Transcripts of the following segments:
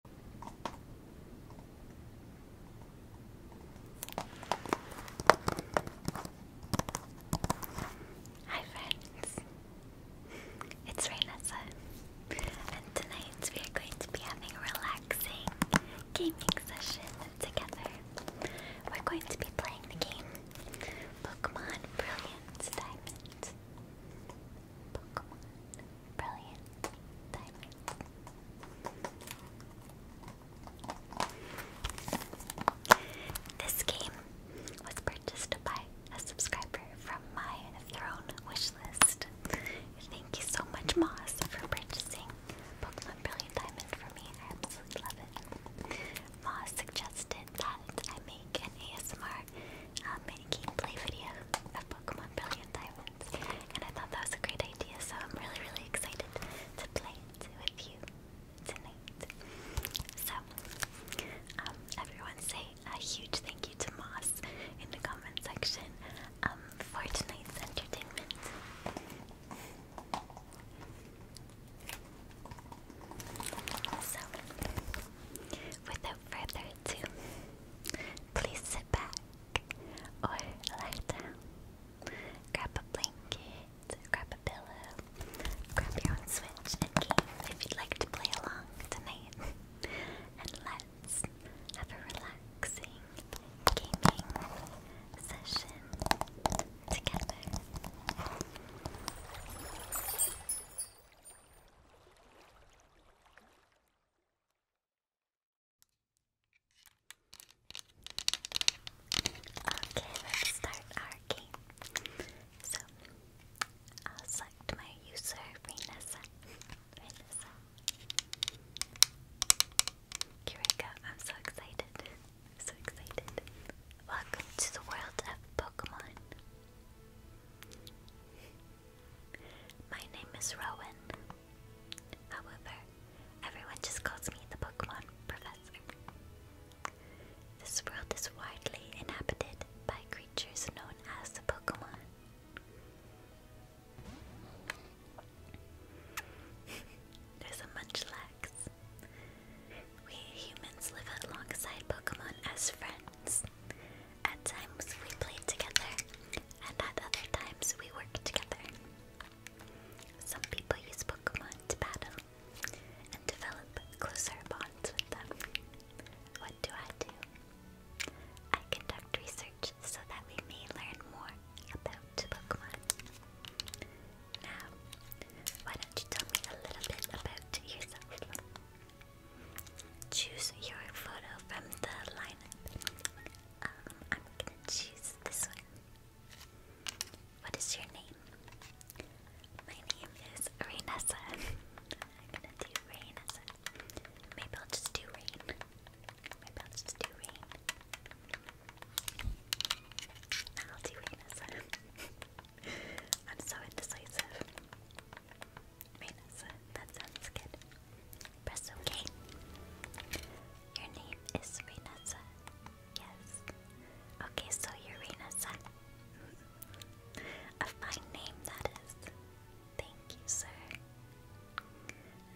Hi friends, it's Raynessa, and tonight we are going to be having a relaxing gaming session together. We're going to be playing the game Pokemon Brilliant Diamond. Pokemon Brilliant. Diamond. This game was purchased by a subscriber from my Throne wishlist. Thank you so much, Moss, for purchasing Pokemon Brilliant Diamond for me. I absolutely love it. Moss suggested that I make an ASMR um, uh, game play video of Pokemon Brilliant diamonds. And I thought that was a great idea, so I'm really, really excited to play with you tonight. So, um, everyone say a huge thank you to Moss in the comment section um, for tonight's entertainment. So, without further ado, please sit back, or lie down. Grab a blanket, grab a pillow, grab your own Switch and if you'd like to play along tonight. and let's have a relaxing gaming session together. Okay, let's start our game. So, I'll select my user, Rainessa. Here we go, I'm so excited. So excited. Welcome to the world of Pokemon. My name is Rowan. However, everyone just calls me the Pokemon Professor. This world is widely inhabited by creatures known as the Pokemon. There's a Munchlax. We humans live alongside Pokemon as friends, at times we play together, and at other times we work together. Some people use Pokemon to battle and develop closer bonds with them. What do I do? I conduct research so that we may learn more about Pokemon. Now, why don't you tell me a little bit about yourself? Choose your photo from the lineup. Um, I'm gonna choose this one. What is your name? My name is Rainessa. I'm gonna do Rainessa. Maybe I'll just do Rain. Maybe I'll just do Rain. I'll do Rainessa. I'm so indecisive. Rainessa, that sounds good. Press OK. Your name is Renessa. Yes. Okay, so you're Renessa. A fine name that is. Thank you, sir.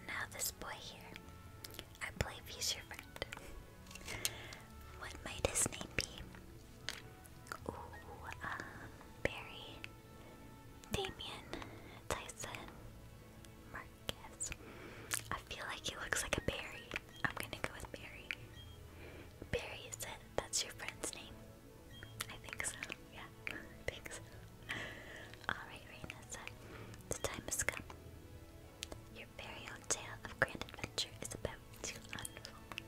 Now this boy here. I believe he's your friend. what might his name be? Ooh, um, Barry. Damien Tyson Marcus. I feel like he looks like a Barry. I'm gonna go with Barry. Barry is That's your friend's name. I think so. Yeah, I think so. Alright, Raina said, the time has come. Your very own tale of grand adventure is about to unfold.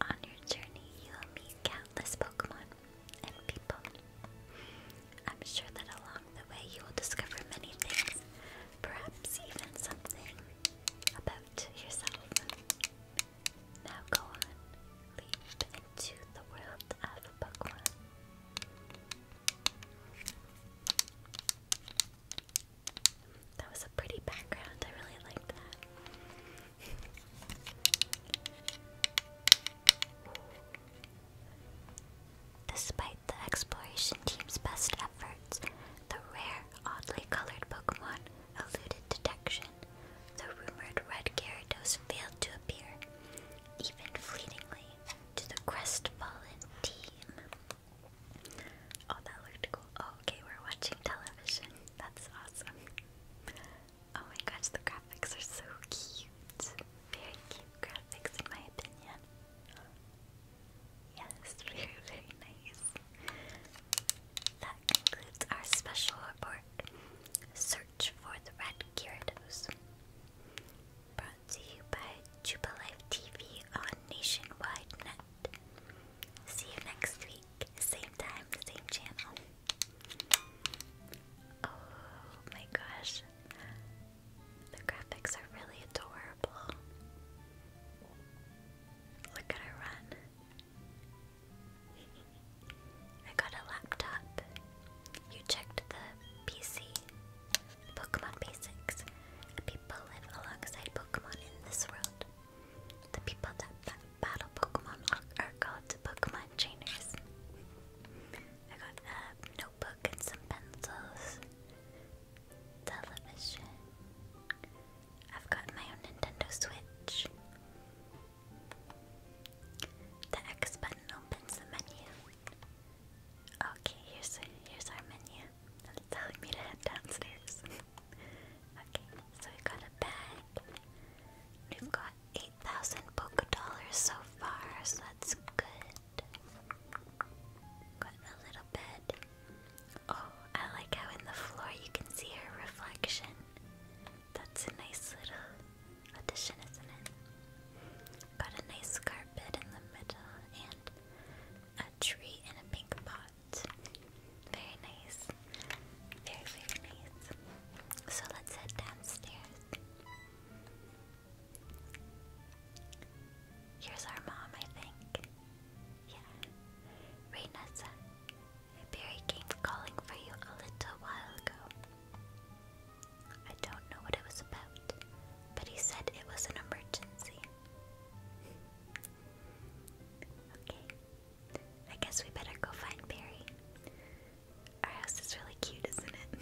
On your journey, you will meet countless Pokemon and people. I'm sure that along the way you will discover many things, perhaps even something about yourself. Now go on, leap into the world of Pokemon. That was a pretty background, I really liked that. Despite the exploration team's best efforts, the rare, oddly colored Pokemon eluded detection. The rumored red Gyarados failed to appear, even fleetingly, to the crestfallen team. Oh, that looked cool. Oh, okay, we're watching television. That's awesome. Oh my gosh, the graphics are so cute. Very cute graphics, in my opinion. Yes, very, very nice. That concludes our special report Search for the Red Gyarados. Brought to you by Jubilife TV on Nationwide Net. See you next week, same time, same channel. Oh my gosh. The graphics are really adorable. Look at her run. I got a laptop. You checked the PC. Pokemon Basics. people live alongside Pokemon in this world. The people that battle Pokemon are called Pokemon trainers. I got a notebook and some pencils. Television. I've got my own Nintendo Switch. The X button opens the menu. Okay, here's here's our menu. It's telling me to head downstairs. okay, so we got a bag. We've got 8,000 Poké dollars so far, so that's good. Got a little bit. Oh, I like how in the floor you can see her reflection. That's a nice little addition, isn't it? Got a nice carpet in the middle and a tree in a pink pot. Very nice. Very, very nice. So let's head downstairs. Here's our mom, I think. Yeah. Reynessa. Barry came calling for you a little while ago. I don't know what it was about, but he said it was an emergency. Okay, I guess we better go find Barry. Our house is really cute, isn't it?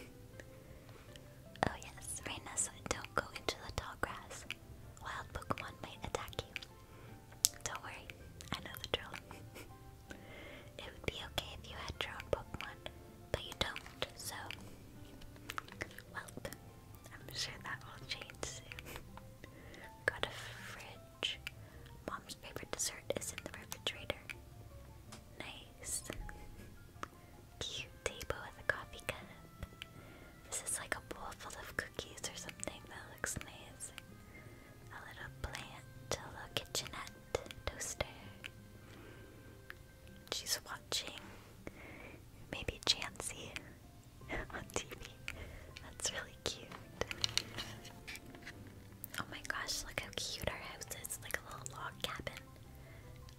oh yes, Raina, don't go into the tall grass. Wild Pokemon might attack you. Don't worry, I know the drill. it would be okay if you had your own Pokemon, but you don't, so... Well, I'm sure that will change soon. Got a fridge. Mom's favorite dessert is in the refrigerator. Nice. Cute table with a coffee cup. This is like a bowl full of cookies or something. That looks nice. A little plant, little kitchenette, toaster. She's watching maybe Chansey on TV. That's really cute. Oh my gosh, look how cute our house is. Like a little log cabin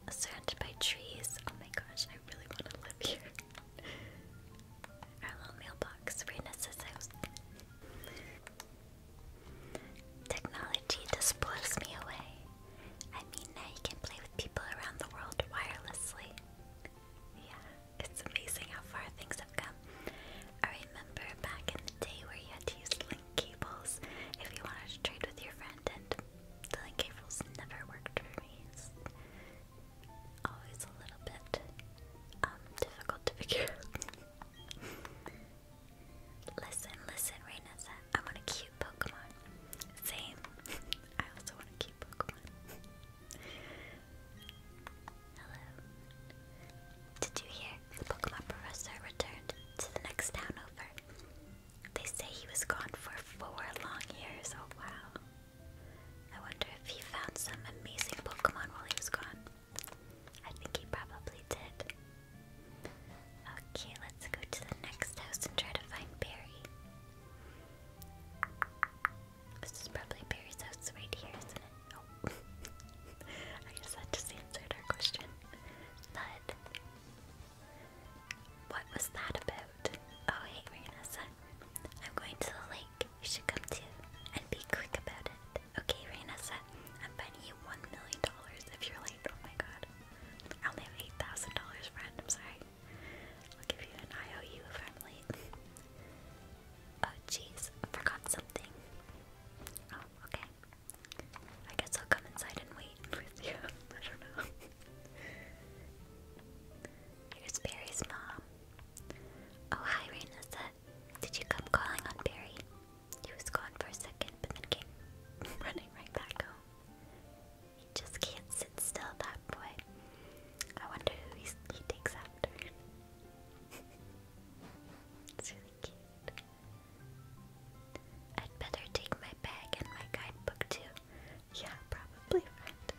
surrounded by trees. Oh my gosh, I really want to live here. our little mailbox, Reyna's house. Technology just blows me away. I mean, now you can play with people around the world wirelessly. Yeah, it's amazing how far things have come. I remember back in the day where you had to use link cables if you wanted to trade with your friend, and the link cables never worked for me. It's always a little bit um, difficult to figure out. listen, listen, Raynessa, I want a cute Pokemon. Same. I also want a cute Pokemon. Hello. Did you hear the Pokemon professor returned to the next town over. They say he was gone for four long years. Oh wow. I wonder if he found some amazing Pokemon while he was gone. I think he probably did. Okay, let's go to the next house and try to find Barry. This is probably Barry's house right here, isn't it? I guess that just answered our question. Nud. What was that about? Oh, hey, Raynessa. I'm going to the lake. You should come too. And be quick about it. Okay, Raynessa. I'm betting you $1 million if you're late. Oh my god. I only have $8,000, friend. I'm sorry. I'll give you an IOU if I'm late. Oh, jeez. I forgot something. Oh, okay. I guess I'll come inside and wait with you. I don't know. Here's Barry's mom. Oh, hi, Rainessa. Did you come calling on Barry? He was gone for a second, but then came running right back home. He just can't sit still, that boy. I wonder who he takes after. it's really cute. I'd better take my bag and my guidebook too. Yeah, probably right.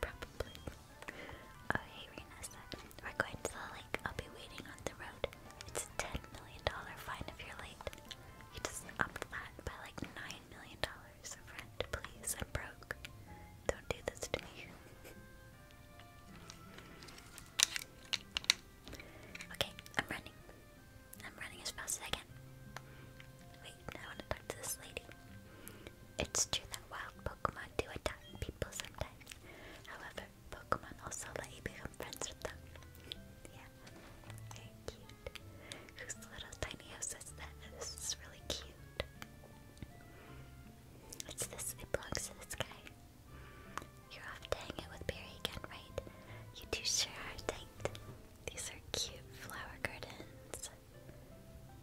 probably. Oh hey Rena we're going to the lake. I'll be waiting on the road. It's a ten million dollar fine if you're late. You just upped that by like nine million dollars. Friend, please, I'm broke. Don't do this to me. Okay, I'm running. I'm running as fast as I can. Wait, I want to talk to this lady. It's true that wild Pokemon do attack people sometimes. However, Pokemon also let you become friends with them. Yeah, very cute. Whose little tiny This is really cute. It's this, it belongs to this guy. You're off to with Barry again, right? You two sure are tight. These are cute flower gardens.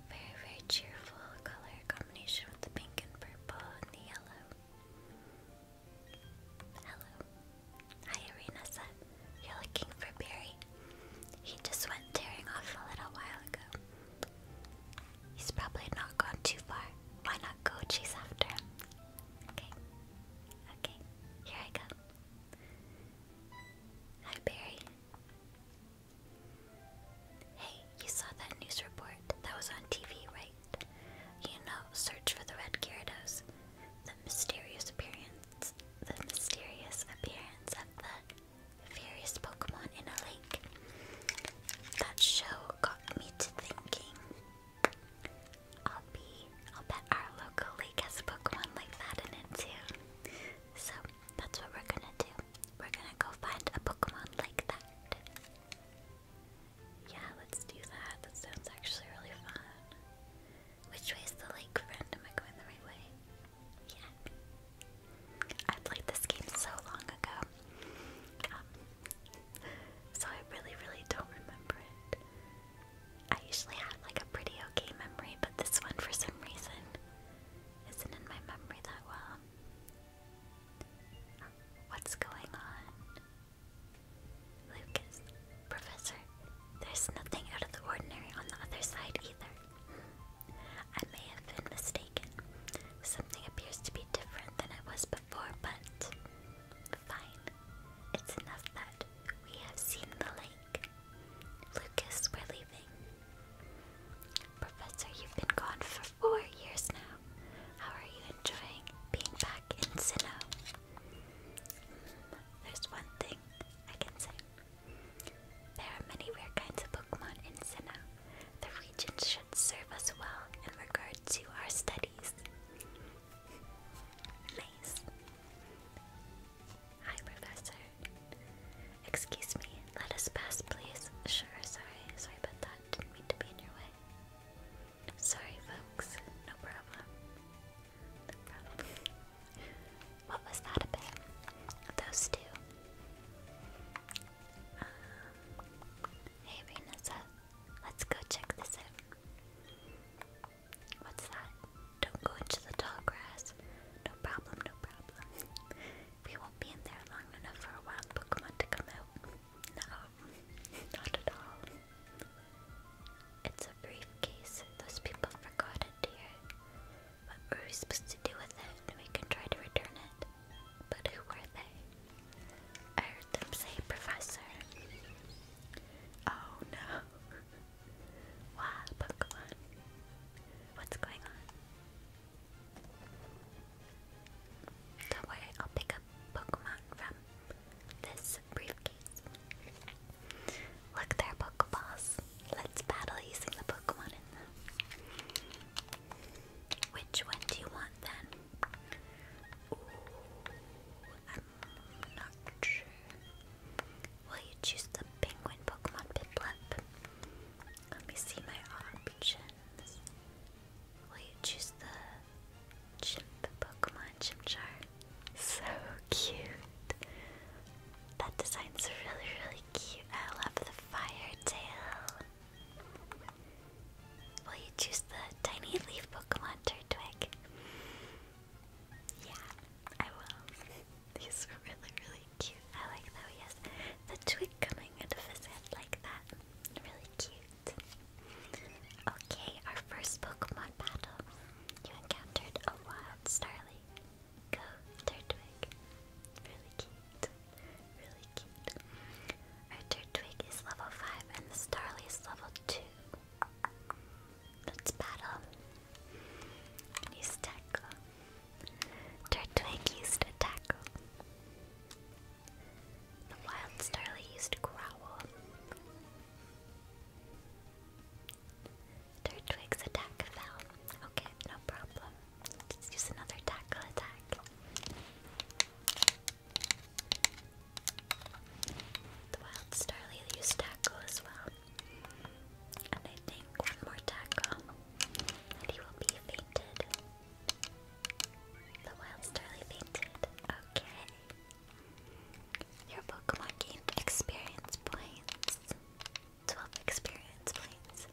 Very, very cheerful color combination with the pink and purple and the yellow. Hello. Hi, Arinasa. You're looking for Barry. He just went tearing off a little while ago. He's probably not gone too far. Why not go chase after him? Okay. Okay. Here I go. Hi, Barry. Hey, you saw that news report that was on TV, right? You know, search for the red Gyarados. The mysterious appearance, the mysterious appearance of the various Pokemon in a lake. That show got me to thinking. I'll be, I'll bet our local league has a Pokemon like that in it too. So that's what we're gonna do. We're gonna go find a Pokemon like that. Yeah, let's do that. That sounds actually really fun. Which way is the lake, friend? Am I going the right way? Yeah. I played this game so long ago. Um, so I really, really don't remember it. I usually have like a pretty okay memory, but this one for some reason isn't in my memory that well. What's going on? Lucas, Professor, there's nothing out of the ordinary on the other side either. I may have been mistaken. Something appears to be different than it was before but fine. It's enough that we have seen the lake. Lucas, we're leaving. Professor, you've been gone for four years now. How are you enjoying being back in Sinnoh? Hmm, there's one thing I can say. There are many rare kinds of Pokemon in Sinnoh. The region should serve us well in regard to our studies. Hi, Professor. Excuse me, let us pass, please. Sure, sorry. Sorry about that. Didn't mean to be in your way. Sorry, folks. No problem. No problem. What was that about? Those two. Um, hey, Renessa. Let's go check this out. What's that? Don't go into the tall grass. No problem, no problem. We won't be in there long enough for a wild Pokemon to come out. No, not at all. It's a briefcase. Those people forgot it, dear. What are we supposed to do with it? We can try to return it. But who were they? I heard them say professor. Oh no. wow, Pokemon. What's going on? Don't worry, I'll pick up Pokemon from this briefcase. Look, they're Let's battle using the Pokemon in them. Which one do you want then? Will you choose the penguin Pokemon Pidblip? Let me see my options. Will you choose the chip Pokemon Chimchar? So cute. That design's really, really cute. I love the fire tail. Will you choose the tiny leaf Pokemon Turtwig? Yeah, I will. He's really, really cute. I like that he has the twig coming into of his head like that. Really cute. Okay, our first Pokemon battle. You encountered a wild Starly. Go, Turtwig. Really cute. Really cute. Our Turtwig is level 5 and the Starly is level 2. Let's battle. Use tackle. Turtwig used tackle. The wild starly used growl. Turtwig's attack fell. Okay, no problem. Let's use another tackle attack. The wild Starly used tackle as well. And I think one more tackle and he will be fainted. The wild starly fainted. Okay. Your Pokemon gained experience points. 12 experience points.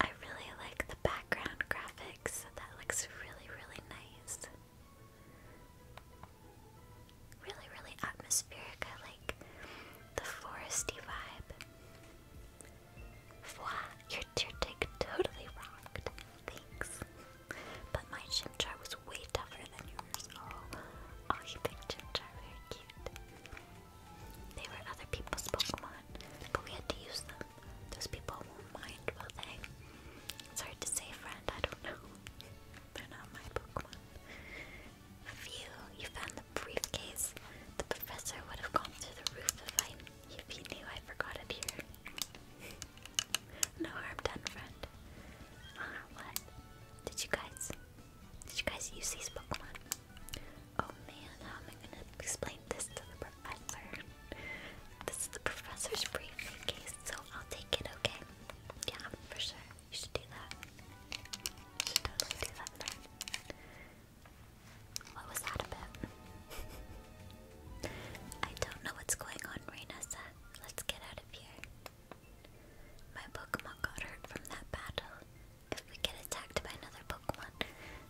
I really like the background graphics. That looks really, really nice. Really, really atmospheric. I like the foresty vibe. Wow, your tier totally rocked. Thanks. But my Chimchar was way tougher than yours. Oh, oh picked Chimchar. Very cute. They were other people's Pokemon, but we had to use them. Those people won't mind, will they? It's hard to say, friend. I don't know. They're my Pokemon. Phew, you found the briefcase. The professor would have gone through the roof if, I, if knew I forgot it here. no harm done, friend. Ah, what? Did you guys... Did you guys use these Pokemon? Oh man, how am I gonna explain this to the professor? This is the professor's briefcase, so I'll take it, okay? Yeah, for sure. You should do that. totally do that, What was that I don't know what's going on, Rainessa. Let's get out of here. My Pokemon got hurt from that battle. If we get attacked by another Pokemon,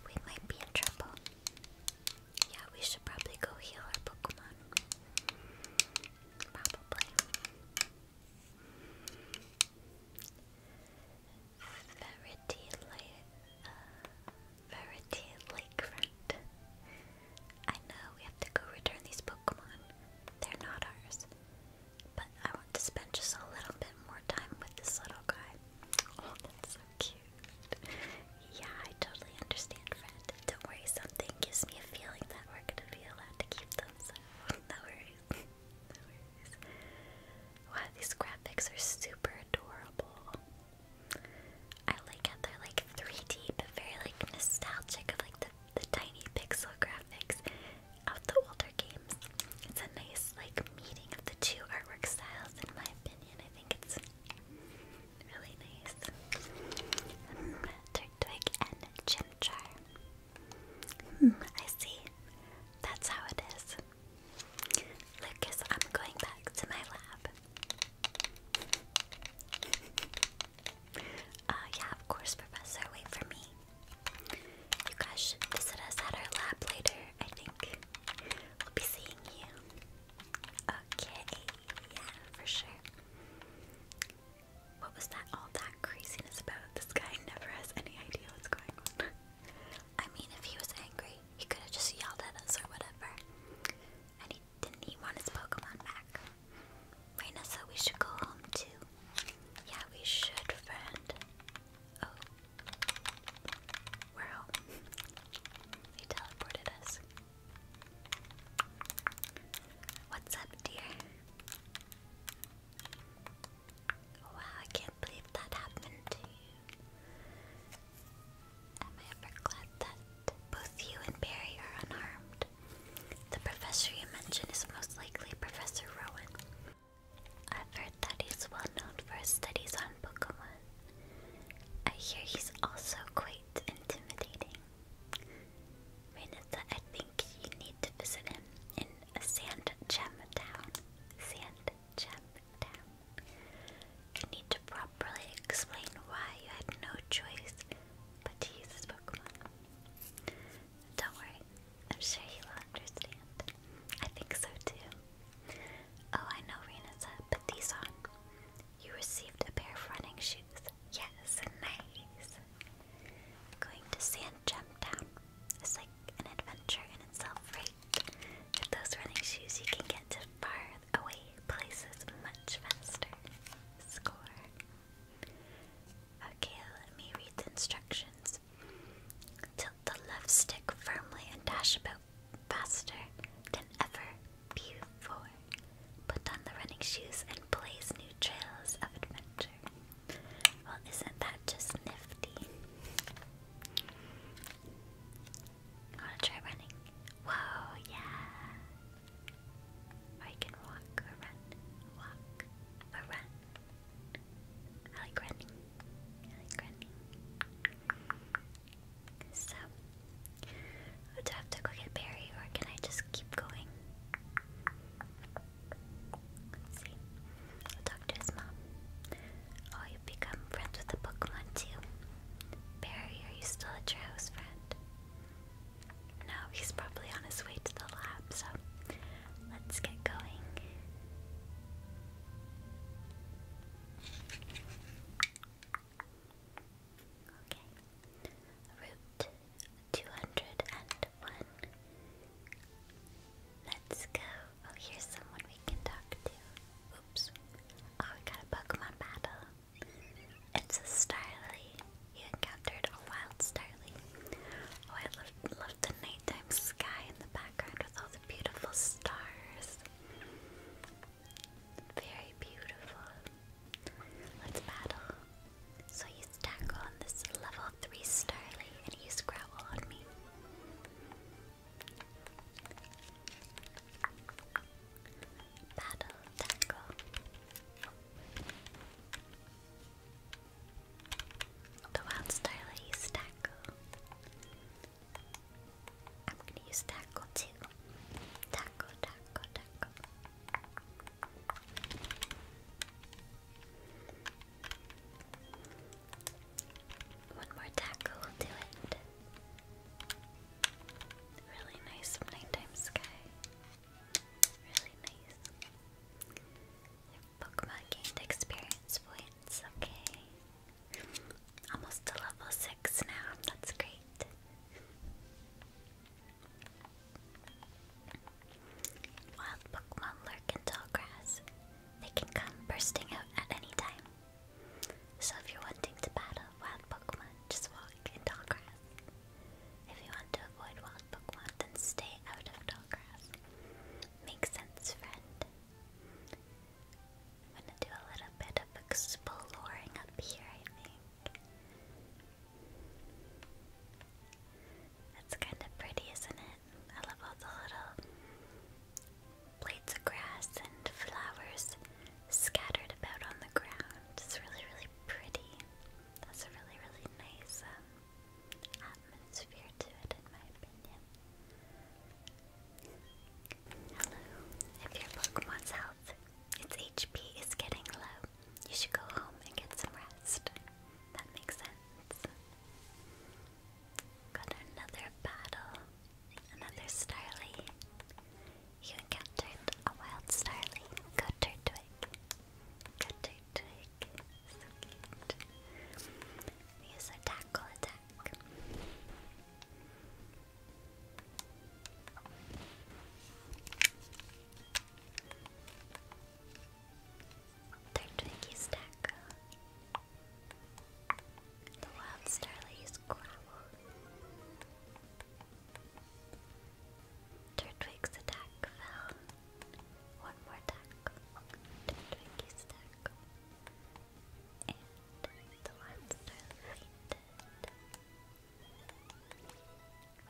we might be in trouble. Yeah, we should probably go heal our Pokemon. Probably. Verity Lake, uh, Lakefront. I know we have to go return these Pokemon. They're not ours. But I want to spend just a little bit more time with this little guy. Oh, that's so cute. Yeah, I totally understand, friend. Don't worry, something gives me a feeling that we're gonna be allowed to keep them, so no worries. no worries. Wow, these graphics are super adorable. I like how they're like 3D, but very like nostalgic of like the, the tiny pixel graphics of the older games. It's a nice like meeting of the two artwork styles, in my opinion. I think it's really nice. Mm, and Chimchar. Mm, I see. That's how it is. Lucas, I'm going back to my lab. Uh, yeah, of course, Professor. Wait for me. You guys should visit us at our lab later, I think. We'll be seeing you. Okay, yeah, for sure. What was that all that craziness about? This guy never has any idea what's going on. I mean, if he was angry, he could have just yelled at us or whatever. And he didn't want his Pokemon back? Raina said we should go home too. Yeah, we should, friend. Oh. we he teleported us. What's up, dear? Wow, I can't believe that happened to you. Am ever glad that both you and Barry are unharmed? The professor you mentioned is most likely Professor Rowan. I've heard that he's well known for his studies on Pokemon. I hear he's also quite intimidating. Renata, I think you need to visit him in a town. Sand town. You need to properly explain why you had no choice but to use his Pokemon. Don't worry, I'm sure he will understand. I think so too. Oh, I know, Renata, put these on. You received a pair of running shoes. Yes, nice. Going to Sand Town is like an adventure in itself, right? With those running shoes, you can get to far away places much faster. Score. Okay, let me read the instructions. Tilt the left stick firmly and dash about faster than ever Beautiful. Put on the running shoes and blaze new trails of adventure. Well, isn't that just nifty? Wanna try running? Whoa, yeah. Or can walk or run. Walk or run. I like running. I like running. So, do I have to go get Barry or can I just keep going? Let's see. will talk to his mom. Oh, you become friends with the Pokemon too. Barry, are you still at your house, friend? No, he's probably on his way to the lab, so let's get going. Okay. Root two hundred and one. Let's go. Oh, here's someone we can talk to. Oops. Oh, we got a Pokemon battle. It's a Starly. You encountered a wild Starly. Oh, I love, love the nighttime sky in the background with all the beautiful stars. Very beautiful. Let's battle. So you Tackle on this level 3 Starly and you Growl on me. Battle Tackle. The Wild Starly Tackle. I'm gonna use Tackle too. Tackle, Tackle, Tackle. One more tackle do it. Really nice nighttime sky. Really nice. Pokemon gained experience points, okay. Almost to level 6 now, that's great. Wild Pokemon lurk in tall grass. They can come bursting out at any time. So if you're wanting to battle wild Pokemon, just walk in tall grass. If you want to avoid wild Pokemon, then stay out of tall grass. Makes sense, friend. I'm gonna do a little bit of exploring up here, I think. That's kind of pretty, isn't it? I love all the little blades of grass and flowers scattered about on the ground. It's really, really pretty. That's a really, really nice um, atmosphere to it, in my opinion. Hello. If your Pokemon's health, its HP is getting low, you should go home and get some rest. That makes sense. Got another battle. Another Starly. You encountered a wild Starly. Go Turtwig. Go Turtwig. So cute. use a tackle attack. Third Twinkie The Wild Starley's Growl. Turtwig's attack One more attack. Turtwiggy's attack. And the Wild Starley fainted.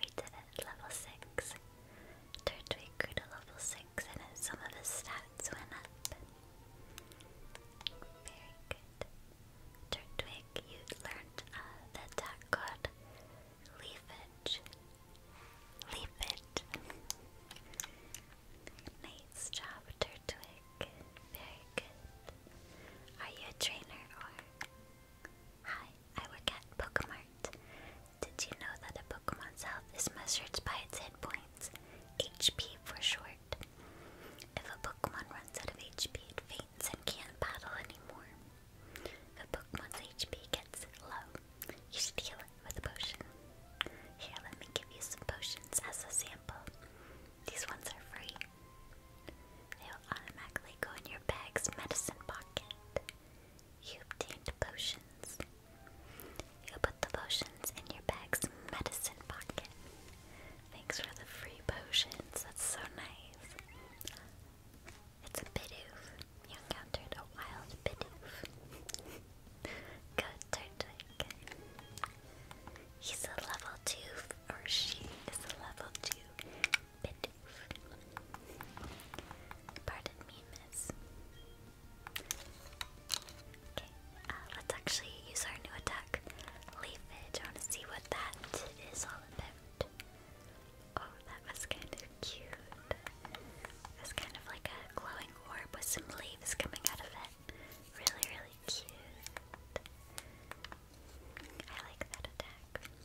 We did it, level 6. Turtwig grew to level 6 and some of his stats went up. Very good. Turtwig, you learned uh, the attack called Leafage. Leafage. nice job, Turtwig. Very good. Are you a trainer or? Hi, I work at Pokemart. Did you know that a Pokemon's health is measured by its hit points? HP for short. If a Pokemon runs out of HP, it faints and can't battle anymore. If a Pokemon's HP gets low, you should heal it with a potion. Here, let me give you some potions as a sample. These ones are free. They will automatically go in your bag's medicine pocket. You obtained potions. You put the potions in your bag's medicine pocket. Thanks for the free potions. That's so nice. It's a bidoof. You encountered a wild bidoof. Good, Turtwig. He's a level 2, or she is a level 2 Pardon me, miss. Okay, uh, let's actually use our new attack, Leafage. I want to see what that is all about. Oh, that was kind of cute. It's kind of like a glowing orb with some leaves coming out of it. Really, really cute. I like that attack.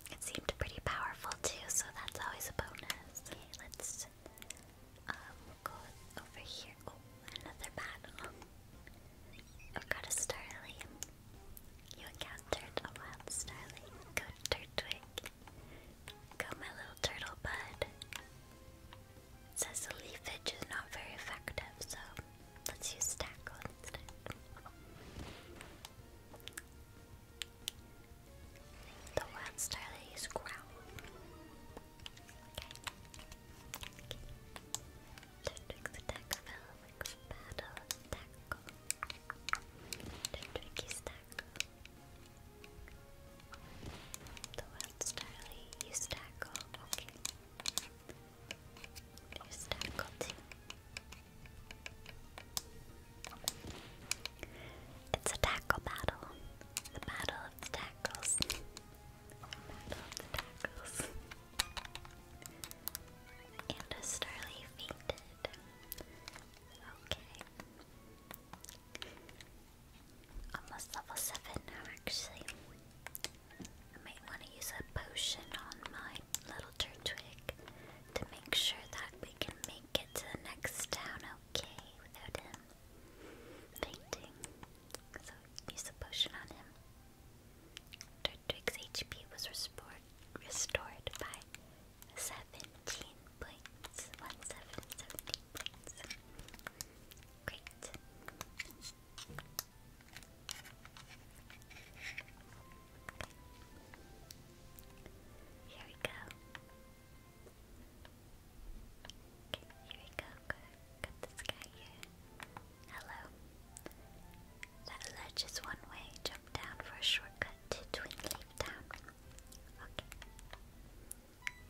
It seemed pretty powerful too, so that's always a bonus. Okay, let's um, go over here. Oh, another battle. I've got a starling. You encountered a wild starling. Go Turtwig. Go my little turtle bud. says the leafage is not very effective, so let's use tackle instead. The one star that is growl. Okay. okay. Tendrix attack Felix battle tackle. tackle. The one star tackle. Okay. There's tackle too. It's a tackle battle. The battle of the tackles. the tackles. and a Starly fainted. Okay. Almost level 7 now, actually. I might want to use a potion on my little turtwig to make sure that we can make can get to the next town okay without him fainting. So use a potion on him. Turtwig's HP was restored by seventeen points. One Great. Here we go. Okay, here we go. Got this guy here. Hello. That ledge is one way. Jump down for a shortcut to Twin Lake Town. Okay.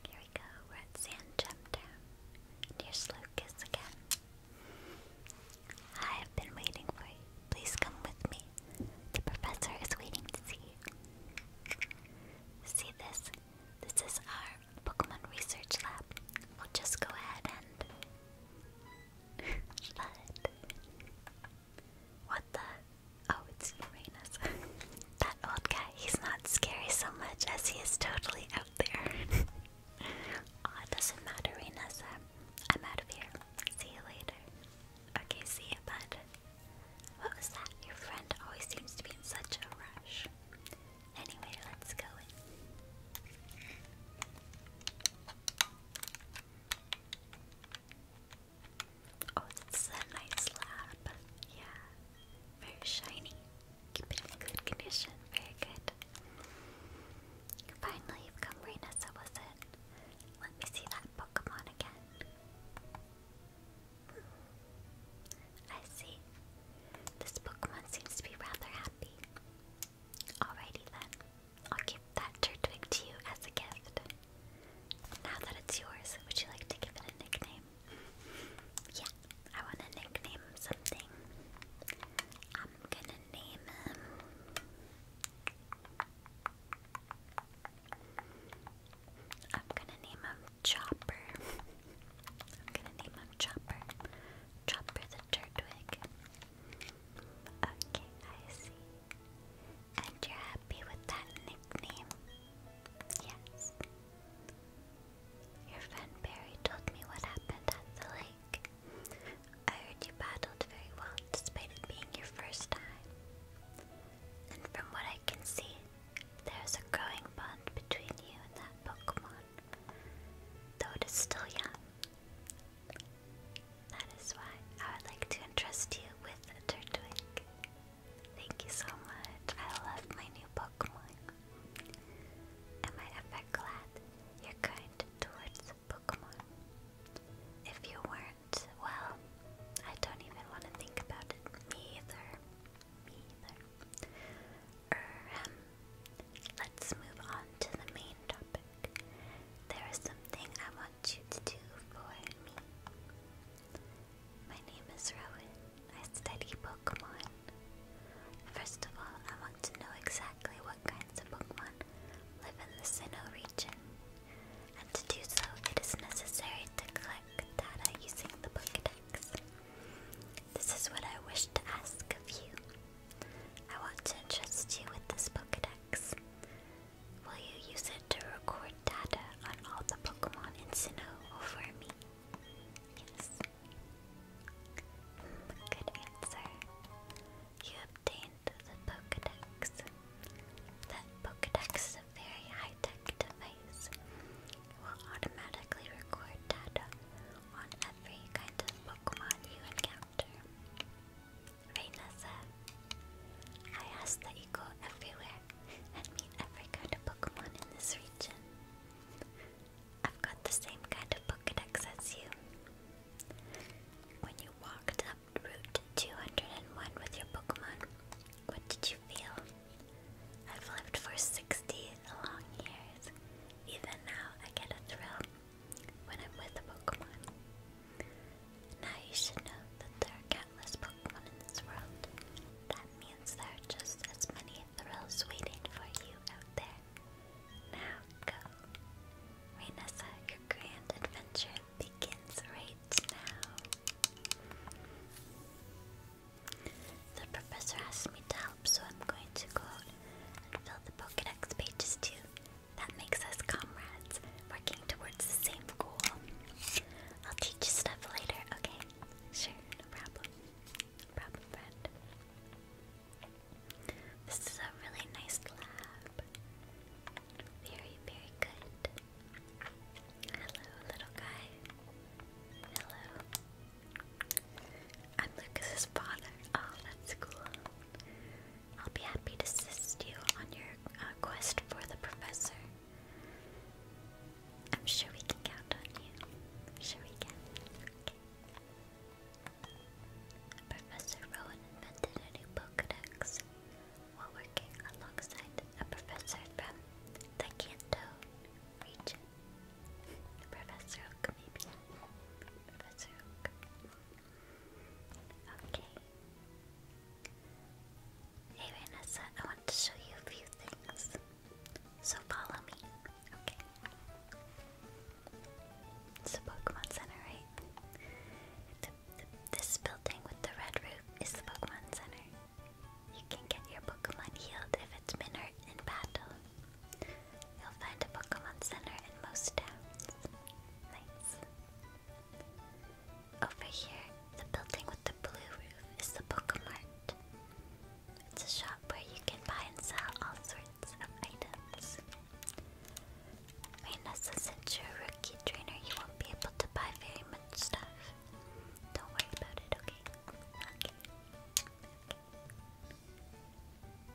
Here we go. We're at Sand Jump Town. Near Slow again. I have been waiting for you. Please come with me. The professor is waiting to see See this? This is our Pokemon research lab. We'll just go ahead and flood. What the? Oh, it's Uranus. that old guy, he's not scary so much as he is totally out there. oh, it doesn't matter, Uranus. I'm out of here. See you later. Okay, see you, bud. What was that? Your friend always seems to be in such a rush. Anyway, let's go Oh, this a nice lab. Yeah. Very shiny. Keep it in good condition. Very good. Finally, you've come right as I was let me see that Pokemon again. I see. This Pokemon seems to be rather happy. Alrighty then. I'll give that Turtwig to you as a gift. Now that it's yours, would you like to give it a nickname? yeah, I want to nickname something. I'm gonna name him. I'm gonna name him Chopper. I'm gonna name him Chopper. Chopper the Turtwig. Okay, I see. And you're happy with that nickname? Yes. Your friend Barry told me what happened at the lake. I heard you paddled very well despite it being your first time. And from what I can see, there is a growing bond between you and that Pokemon. Though it is still young. That is why I would like to entrust you with a Turtwig. Thank you so much. I love my new Pokemon. Am I ever glad you're kind towards Pokemon? If you were well, I don't even want to think about it. either. either. let's move on to the main topic. There is something I want you to do for me. My name is Rowan. I study Pokemon. First of all, I want to know exactly what kinds of Pokemon live in the Sinnoh region and to do so it is necessary to collect data using the Pokedex. This is what I wish to ask of you. I want to entrust you with this Pokedex. Will you use it to record data on all the Pokemon in Sinnoh for me? Yes. Hmm, good answer. You obtained the Pokedex. That Pokedex is a very high-tech device. It will automatically record data on every kind of Pokemon you encounter. Raynessa, I ask that you go everywhere and meet every kind of Pokemon in this region. I've got the same kind of Pokedex as you. When you walk to Route 201 with your Pokemon. What did you feel? I've lived for 60 long years. Even now, I get a thrill when I'm with a Pokemon. Now you should know that there are countless Pokemon in this world. That means there are just as many thrills waiting for you out there. Now go. Rainessa, your grand adventure begins right now. The professor asked me to help, so I'm going to go and fill the Pokedex pages too. That makes us comrades, working towards the same goal. I'll teach you stuff later, okay? Sure, no problem. problem, friend. This is a really nice lab. Very, very good. Hello, little guy. Hello. I'm Lucas's father. Oh, that's cool. I'll be happy to assist you on your uh, quest for the professor. I'm sure we can count on you. sure we can. Professor Rowan invented a new Pokedex while working alongside a professor from the Kanto region. professor Professor Oak. Okay. Hey Vanessa, I want to show you a few things. So follow me. Okay. It's a Pokemon Center, right? the, this building with the red roof is the Pokemon Center. You can get your Pokemon healed if it's been hurt in battle. You'll find a Pokemon Center in most towns. Nice. Over here, the building with the blue roof is the Pokémon Mart. It's a shop where you can buy and sell all sorts of items. Raina's since you're a rookie trainer, you won't be able to buy very much stuff. Don't worry about it, okay? Okay.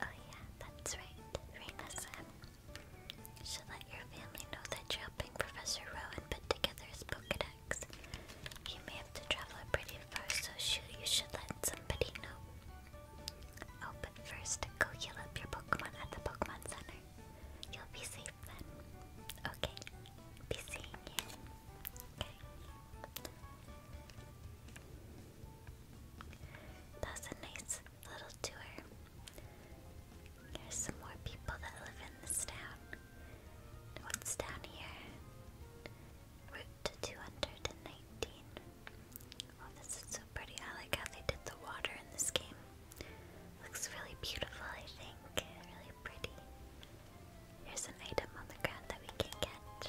Oh yeah, that's right. Reina said. Should let your family know that you're helping Professor Rowan put together his Pokedex. He may have to travel pretty far, so you should let somebody know. Oh, but first, go heal up your Pokemon at the Pokemon Center. You'll be safe then. Okay. Be seeing you. Okay. That a nice little tour. Here's some more people that live in this town. What's down here? Route 219. Oh, this is so pretty. I like how they did the water in this game. Looks really beautiful, I think. Really pretty. Here's an item on the ground that we can get.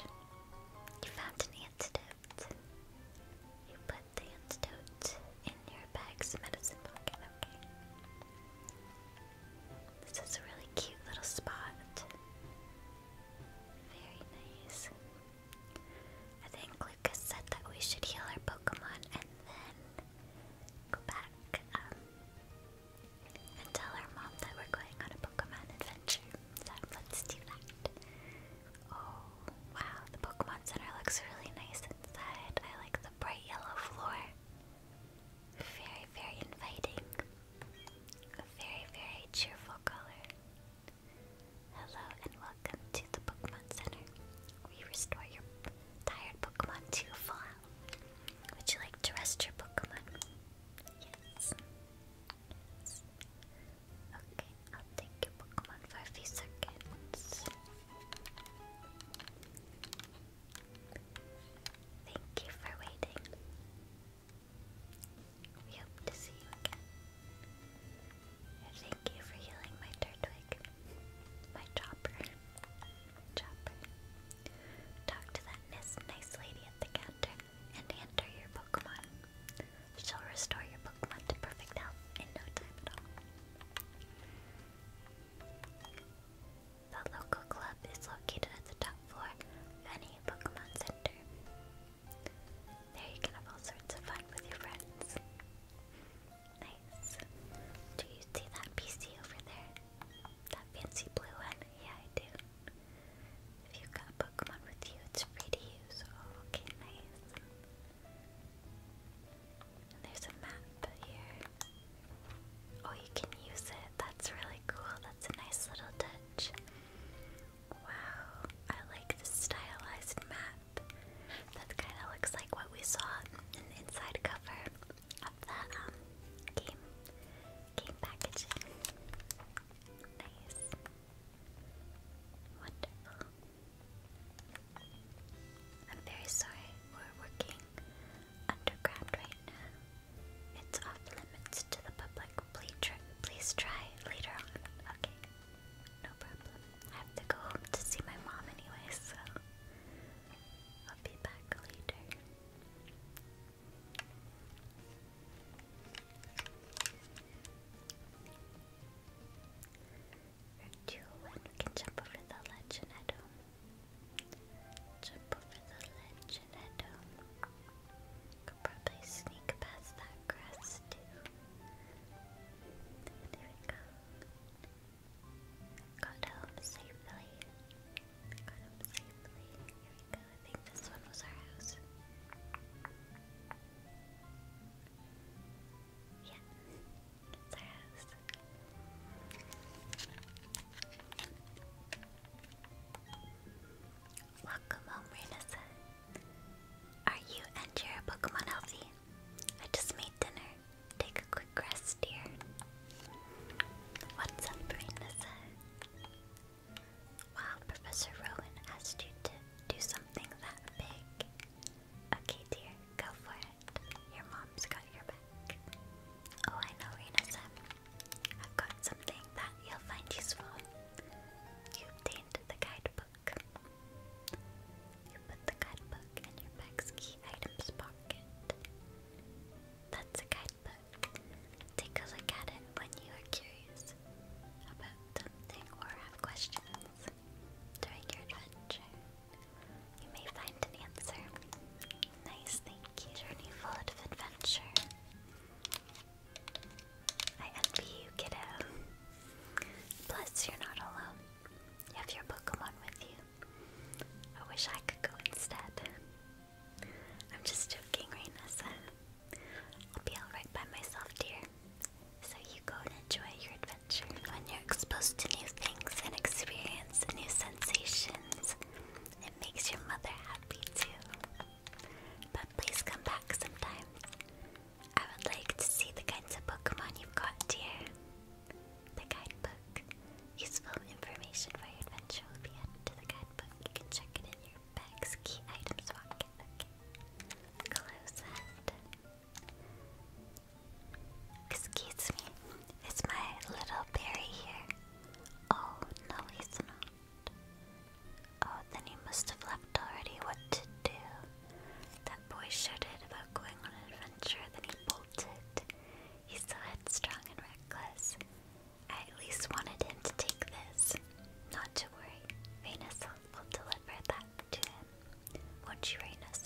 You found an antidote. You put the antidote in your bag's medicine pocket, okay. This is a really cute little spot. Very nice. I think Lucas said that we should heal our Pokemon and then go back. Um, and tell our mom that we're going on a Pokemon adventure. So let's do that. Oh, wow, the Pokemon Center looks really nice inside. I like the bright yellow floor. Very, very inviting. A very, very cheerful color. Hello and welcome to the Pokemon Center. We restore your tired Pokemon to full health. Would you like to rest your Pokemon? Yes. Okay, I'll take your Pokemon for a few seconds. Thank you for waiting. We hope to see you again. thank you for healing my Turtwig. My chopper. Chopper. Talk to that nice lady at the counter and hand your Pokemon. She'll restore your Pokemon to perfect health in no time at all. The local club is located at the top floor of any Pokemon Center. There you can have all sorts of fun with your friends. Nice. Do you see that PC over there? That fancy blue one? Yeah, I do. If you've got Pokemon with you, it's free to use. okay, nice. And there's a map here. Oh, you can use it. That's really cool. That's a nice little touch. Wow, I like the stylized map. That kind of looks like what we saw in the inside cover of the um, I'm very sorry we're working underground right now. It's off limits to the public. please try later on. Okay. No problem. I have to go home to see my mom anyway, so I'll be back later. two, one, we can jump over the ledge and head home. Jump over the ledge and head home. Could probably sneak past that grass too. There we go. Got home safely. Got home safely. Here we go. I think this one was our house. Yeah, our house. Welcome home, Renessa. Are you and your Pokemon healthy? I just made dinner. Take a quick rest here. What's up, Rainissa? Wow, Professor Rowan asked you to do something that big. Okay, dear, go for it. Your mom's got your back. Oh, I know, Rainissa. I've got something that you'll find useful. You obtained the guidebook. You put the guidebook in your bag's key items pocket. That's a guidebook. Take a look at it when you are curious about something or have questions during your adventure. You may find an answer. Nice, thank you, journey full of adventure. I envy you, kiddo. Plus, you're not alone. You have your Pokemon with you. I wish I could go instead. I'm just joking, Rainessa. I'll be alright by myself, dear. So you go and enjoy your adventure. When you're exposed to new things and experience new sensations, it makes your mother happy too. But please come back sometimes. I would like to see the kinds of Pokemon you've got, dear. The guidebook. Useful information for your adventure be added to the guidebook. You can check it in your bag's key items pocket. Close that. Excuse me. It's my little berry here? Oh, no, he's not. Oh, then he must have left already. What to do? That boy shouted about going on an adventure, then he bolted. He's so headstrong and reckless. I at least wanted him to take this. Not to worry, Venus will deliver that to him. Won't you, Venus?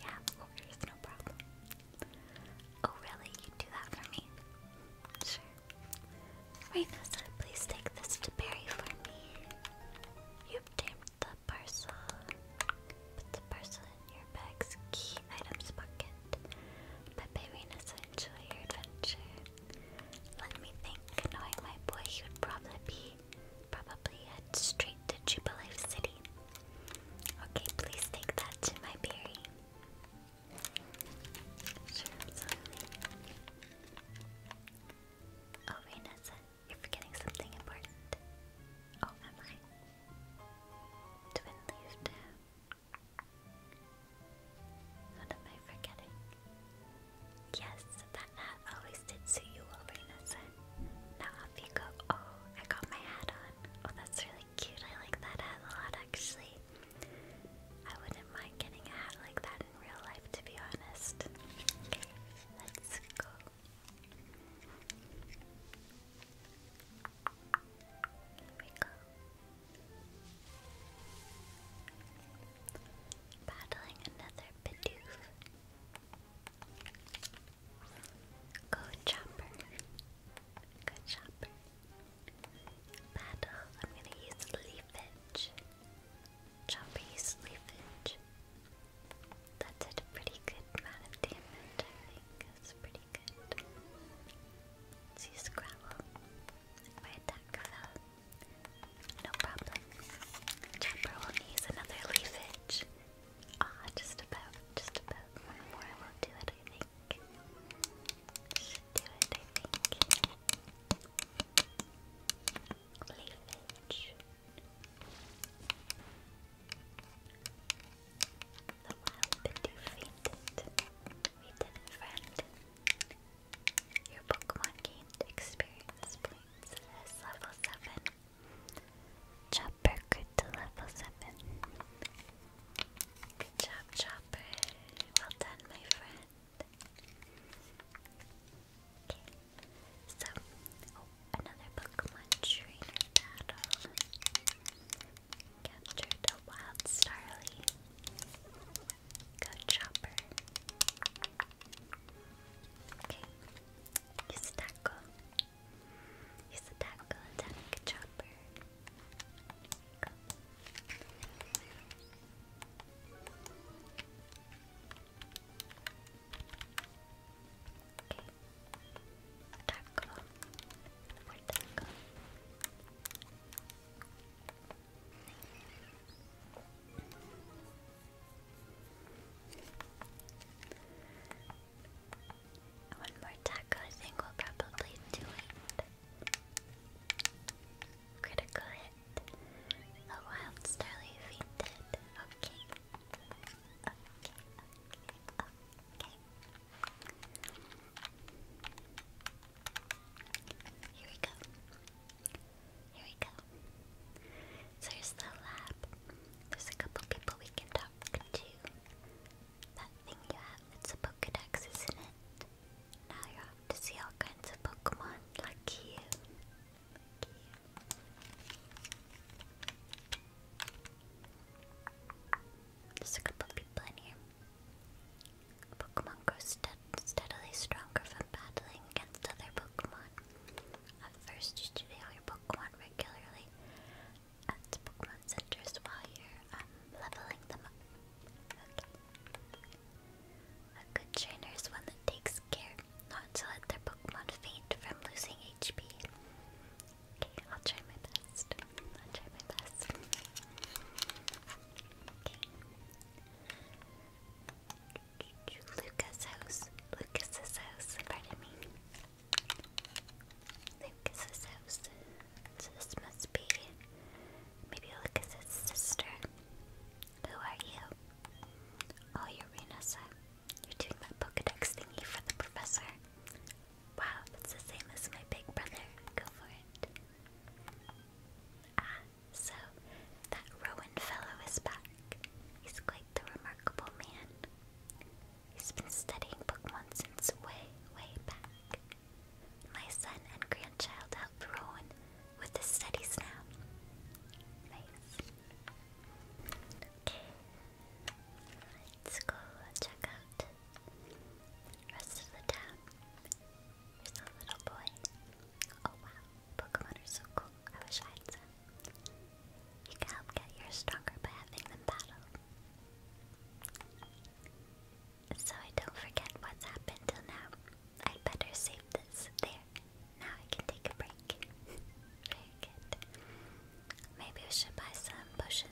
Yeah, of course, no problem. Oh, really? You do that for me? Sure. Venus, please take this to Barry for me. You've tamed the parcel. Put the parcel your bag's key items pocket. Peperina's enjoy your adventure. Let me think, knowing my boy, he would probably be probably head straight to Jubilife City. Okay, please take that to my berry. Oh, Reina you're forgetting something important. Oh, am I? Twin leaf what am I forgetting? Yes, that hat always did suit you well, Now off you go. Oh, I got my hat on. Oh, that's really cute. I like that hat a lot, actually. I wouldn't mind getting a hat like that in real life, to be honest. Okay, let's go we another Bidoof. Go Chopper. Go Chopper. Battle. I'm gonna use Leafage. Chopper use Leafage. That did a pretty good amount of damage, I think. That's pretty Good. let My attack fell. No problem. Chopper will use another leafage. Ah, just about, just about. One more will do it, I think. Should I think. Leafage. The wild Biddy fainted. We did it, friend. Your Pokemon gained experience points as level 7. Chopper grew to level 7. Good job, Chopper. Well done, my friend. Okay, so, another Pokemon trainer battle. Captured a wild Starly. Go Chopper. Okay. Use a tackle. Use a tackle Chopper. Taco. More One more taco, I think we'll probably do it. Critical hit. A wild starly fainted. Okay. Okay, okay, okay. Here we go. Here we go. So here's the lab. There's a couple people we can talk to. That thing you have, it's a Pokedex, isn't it? Now you're off to see all kinds of Pokemon. Lucky you. Lucky a couple people in here. Pokemon grows steadily stronger from battling against other Pokemon. At first, you should your Pokemon regularly at Pokemon centers while you're um, leveling them up. A good trainer is one that takes care not to let their Pokemon faint from losing HP. Okay, I'll try my best. I'll try my best. Okay. Lucas' house. Lucas's house. Pardon me. Lucas's house. this must be maybe Lucas's sister. Who are you? Oh, you're Renessa. you doing that Pokedex thingy for the professor. Wow, it's the same as my big brother. Go for it. Ah, so that Rowan fellow is back. He's quite the remarkable man. He's been studying Pokemon since way, way back. My son and grandchild help Rowan with his studies now. Nice. Let's go check out Rest of the town. Here's a little boy. Oh wow, Pokemon are so cool. I wish I had some. You can help get yours stronger by having them battle. So I don't forget what's happened till now. i better save this. There. Now I can take a break. Very good. Maybe we should buy some potions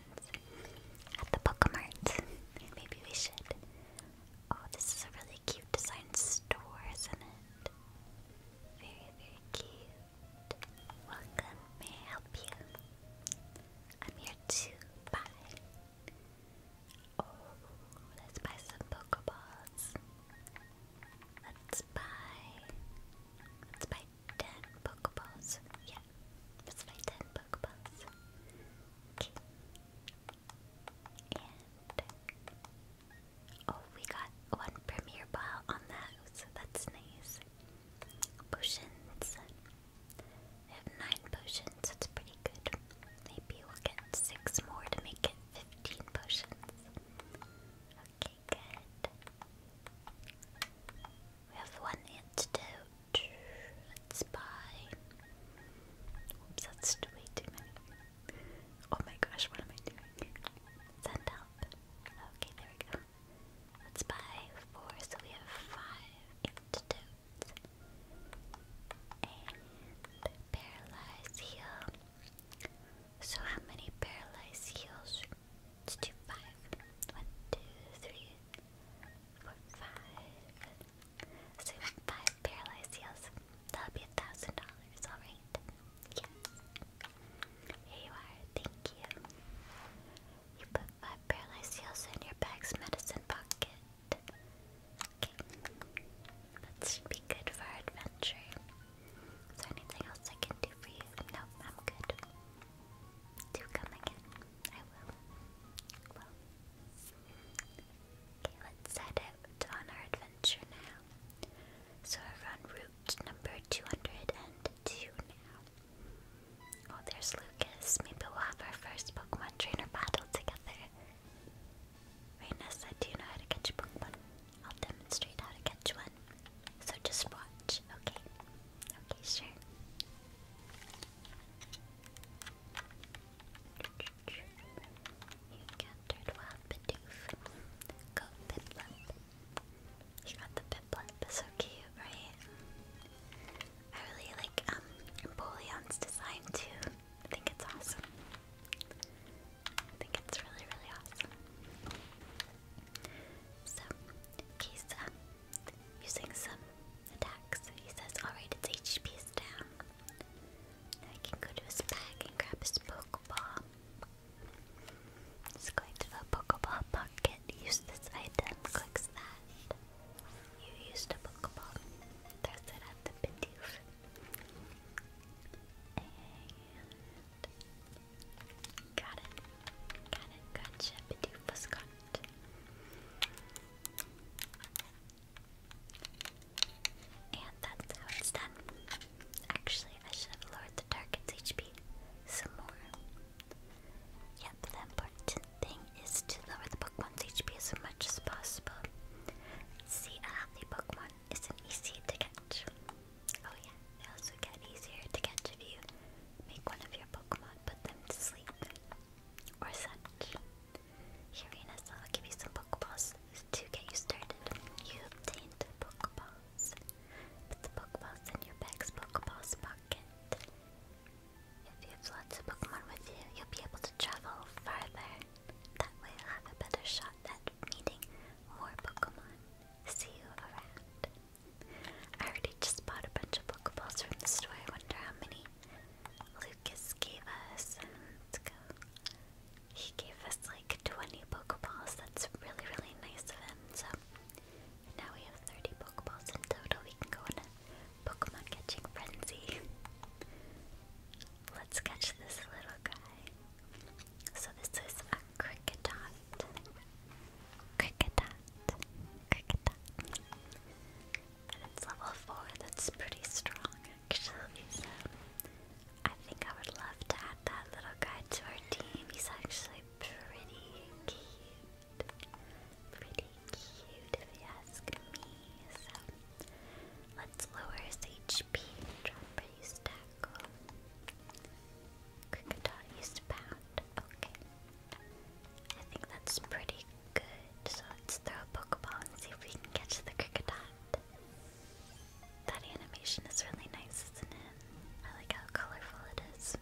at the Pokemart. Maybe we should. Oh, this is a really cute design store, isn't it? Very, very cute. Welcome. May I help you? I'm here to buy. Oh, let's buy some Pokeballs. Let's buy. Let's buy ten Pokeballs. Yeah, that's my 10 Pokeballs. Okay. And. Oh, we got one Premier Ball on that, so that's nice. Potions. I have 9 potions, so pretty good. Maybe we'll get 6 more to make it 15 potions. Okay, good. We have one antidote. Let's buy. Oops, that's way too many. Oh my gosh, what am I doing? Send up. Okay, there we go. Let's buy four, so we have five antidotes. And paralyze heal. So how many paralyze heals? let do five. One, two, three, Four, five. So five paralyzed heals. That'll be a thousand dollars, alright? Yes. Here you are, thank you. You put five paralyzed heals in your bag's medicine pocket. Okay. That should be good for adventure. Is there anything else I can do for you? Nope, I'm good. Do come again. Okay, let's set out on our adventure now. So we're on route number 202 now. Oh, there's Lucas. Maybe we'll have our first Pokemon trainer battle together. Raina Do you know how to catch a Pokemon? I'll demonstrate how to catch one. So just watch, okay? Okay, sure. You encountered Wild Go Piplup. You the Piplup, so cute, right? I really like um design too. I think it's awesome. I think it's really, really awesome. So, Kisa using some attacks. He says, alright, its HP is down. Now I can go to his bag and grab his Pokeball. Just going to the Pokeball pocket, use this item, clicks that. You used a Pokeball, throws it at the Bidoof. got it. Got it, gotcha, Bidoof was and that's how it's done. Actually, I should have lowered the target's HP some more. Yep, the important thing is to lower the Pokemon's HP as much as possible. See, a healthy Pokemon isn't easy to catch. Oh yeah, they also get easier to catch if you make one of your Pokemon put them to sleep or such. Uranus, I will give you some Pokeballs to get you started. You obtained Pokeballs. Put the Pokeballs in your bag's Pokeballs pocket. If you have lots of Pokemon with you, you'll be able to travel farther. That way you'll have a better shot at meeting more Pokemon. See you around. I already just bought a bunch of Pokeballs from the store. I wonder how many Lucas gave us. let He gave us like 20 Pokeballs. That's really, really nice of him. So now we have 30 Pokeballs in total. We can go on a Pokemon catching frenzy. Let's catch this little guy. So this is a Cricketot. Cricketot. Cricketot. And it's level 4, that's pretty strong actually, I think I would love to add that little guy to our team. He's actually pretty cute. Pretty cute if you ask me. So let's lower his HP and drop use tackle. Cricodot used pound. Okay. I think that's pretty good. So let's throw a Pokeball and see if we can catch the Cricodot. That animation is really nice, isn't it? I like how colorful it is.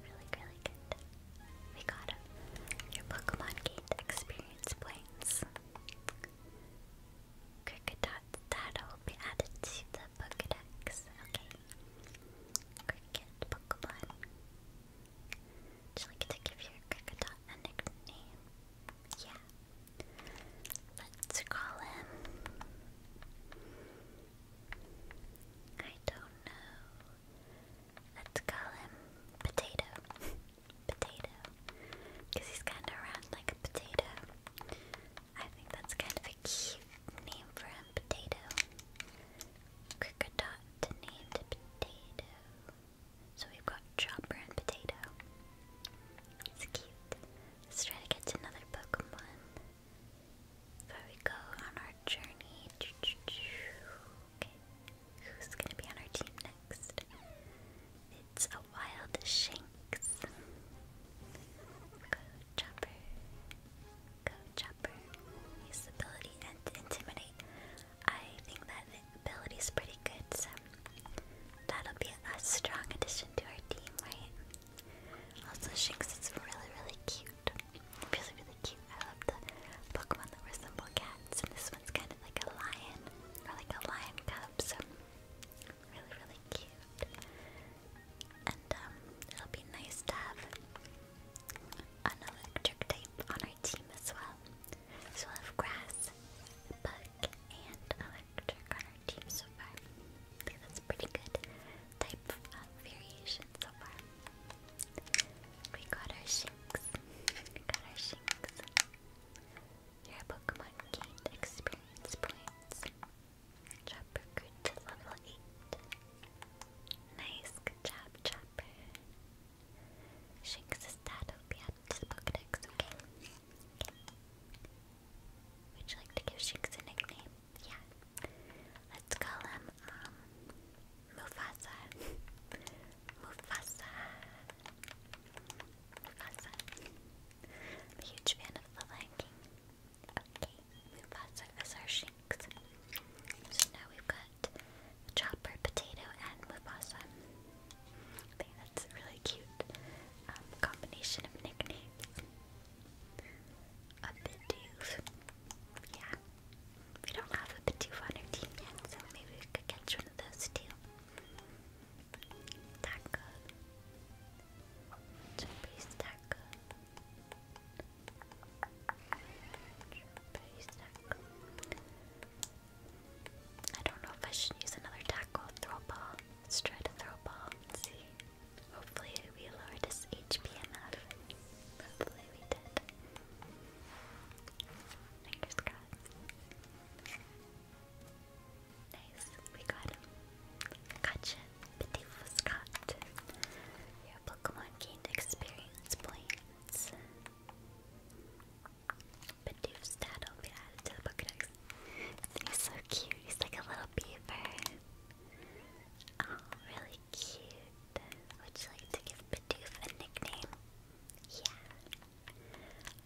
Really, really good. We got him. Your Pokemon gained experience points. Cricodot data will be added to the Pokedex. Okay. Cricket Pokemon. Would you like to give your Cricodot a nickname? Yeah. Let's call him. I don't know. Let's call him Potato. potato. Because he's kind of round like a potato. I think that's kind of a cute name for him, Potato. Cricodot named Potato. So we've got Chopper and Potato. It's cute. Let's try to get to another Pokemon. Before we go on our journey. Who's gonna be on our team next? It's a wild Shanks. Go Chopper. Go Chopper. Use ability and intimidate. I think that ability is pretty good, so that'll be a strong addition to our team, right? Also, Shinx is really, really cute. Really, really cute. I love the Pokemon that resemble cats, and this one's kind of like a lion, or like a lion cub, so really, really cute. And um, it'll be nice to have an electric type on our team as well. So we'll have grass, bug, and electric on our team so far. I think that's pretty good type of uh, variation so far. We got our Shinx. We got our Shinx. Your Pokemon experience points. Chopper grew to level 8. Nice, good job, Shinx's is that be at his okay? Would you like to give Shinx a nickname? Yeah. Let's call him, um, Mufasa. Mufasa. Mufasa. huge fan of The Lion King. Okay, Mufasa is our Shinx. So now we've got chopper, potato, and Mufasa. that's a really cute um, combination of nicknames. A Bidoof. Yeah. We don't have a Bidoof on our team yet, so maybe we could catch one of those too. Taco. Taco. Taco. I don't know if I should use another tackle throw ball. Let's try to throw ball see. Hopefully we lowered his HP enough. Hopefully we did. Fingers crossed. Nice, we got him. Gotcha, Beautiful Scott. Your Pokemon gained experience points. But be added to the Pokedex. He's so cute. He's like a little beaver. Oh, really cute. Would you like to give Bidoof a nickname? Yeah.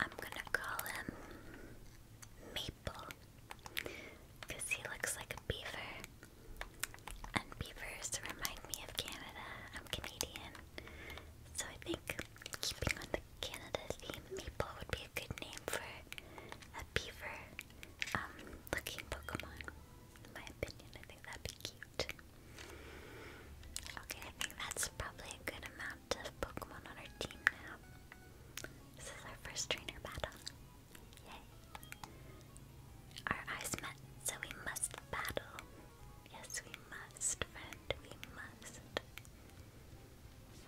I'm gonna call him Maple. Because he looks like a beaver. And beavers remind me of Canada. I'm Canadian. So I think keeping on the Canada theme, Maple would be a good name for a beaver um, looking Pokemon. In my opinion, I think that'd be cute. Okay, I think that's probably a good amount of Pokemon on our team now. This is our first trainer battle. Yay. Our eyes met, so we must battle. Yes, we must, friend. We must.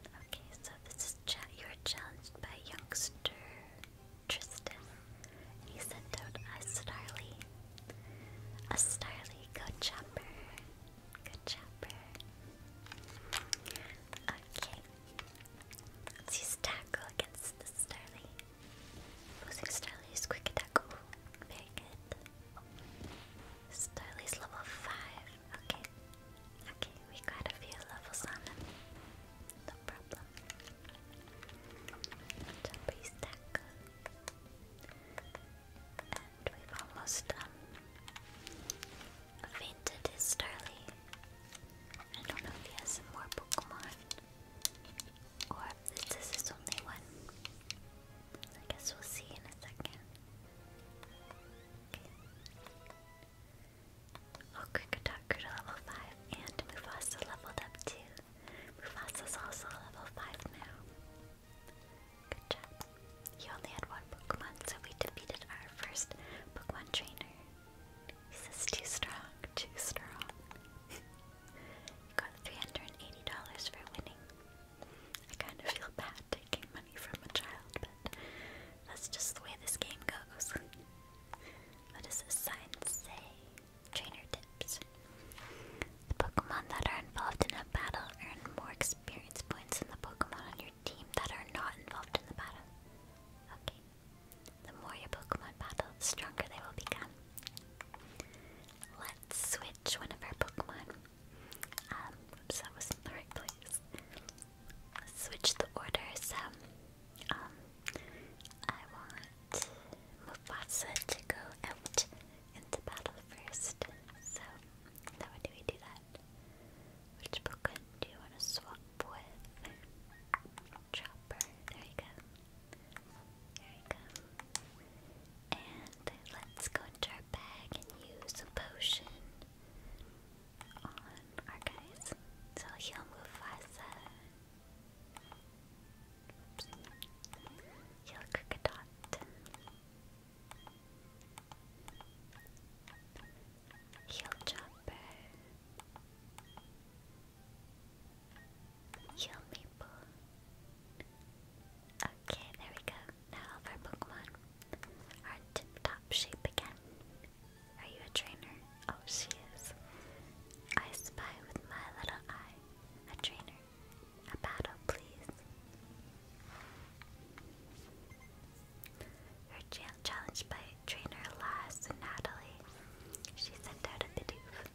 Okay, so this is you are challenged by youngster Tristan. He sent out a Starly. A Starly, go chopper. Good chopper. Okay. Let's use tackle against the Starly. Opposing Starly is quick attack. Ooh. Starly's level 5. Okay. Okay, we got a few levels on him. No problem. Jumper stack. And we've almost um fainted his Starly. I don't know if he has more Pokemon. Or this is his only one. I guess we'll see in a second. Okay. Oh, Krikotok grew to level 5, and Mufasa leveled up too. Mufasa's also level 5 now. Good job. He only had one Pokemon, so we defeated our first Pokemon trainer. This is too strong, too strong. You got $380 for winning. I kind of feel bad taking money from a child, but that's just the way this game goes. what does this sign say? Trainer tips. The Pokemon that are involved in a battle earn more experience points than the Pokemon on your team that are not involved in the battle. Okay. The more your Pokemon battle, the stronger they will become switch one of our Pokemon. that um, wasn't the right place. switch the order, um, I want Mufasa to go out into battle first, so, how do we do that? Which Pokemon do you want to swap with? Chopper, there you go. There you go. And let's go into our bag and use a potion on our guys. So he'll move faster. He'll Cricodot. He'll Chopper. Yummy Poon. Okay, there we go. Now our Pokemon are tip top shape again. Are you a trainer? Oh, she is. I spy with my little eye. A trainer. A battle, please. You're challenged by trainer Lass and Natalie. She sent out a Bidoof.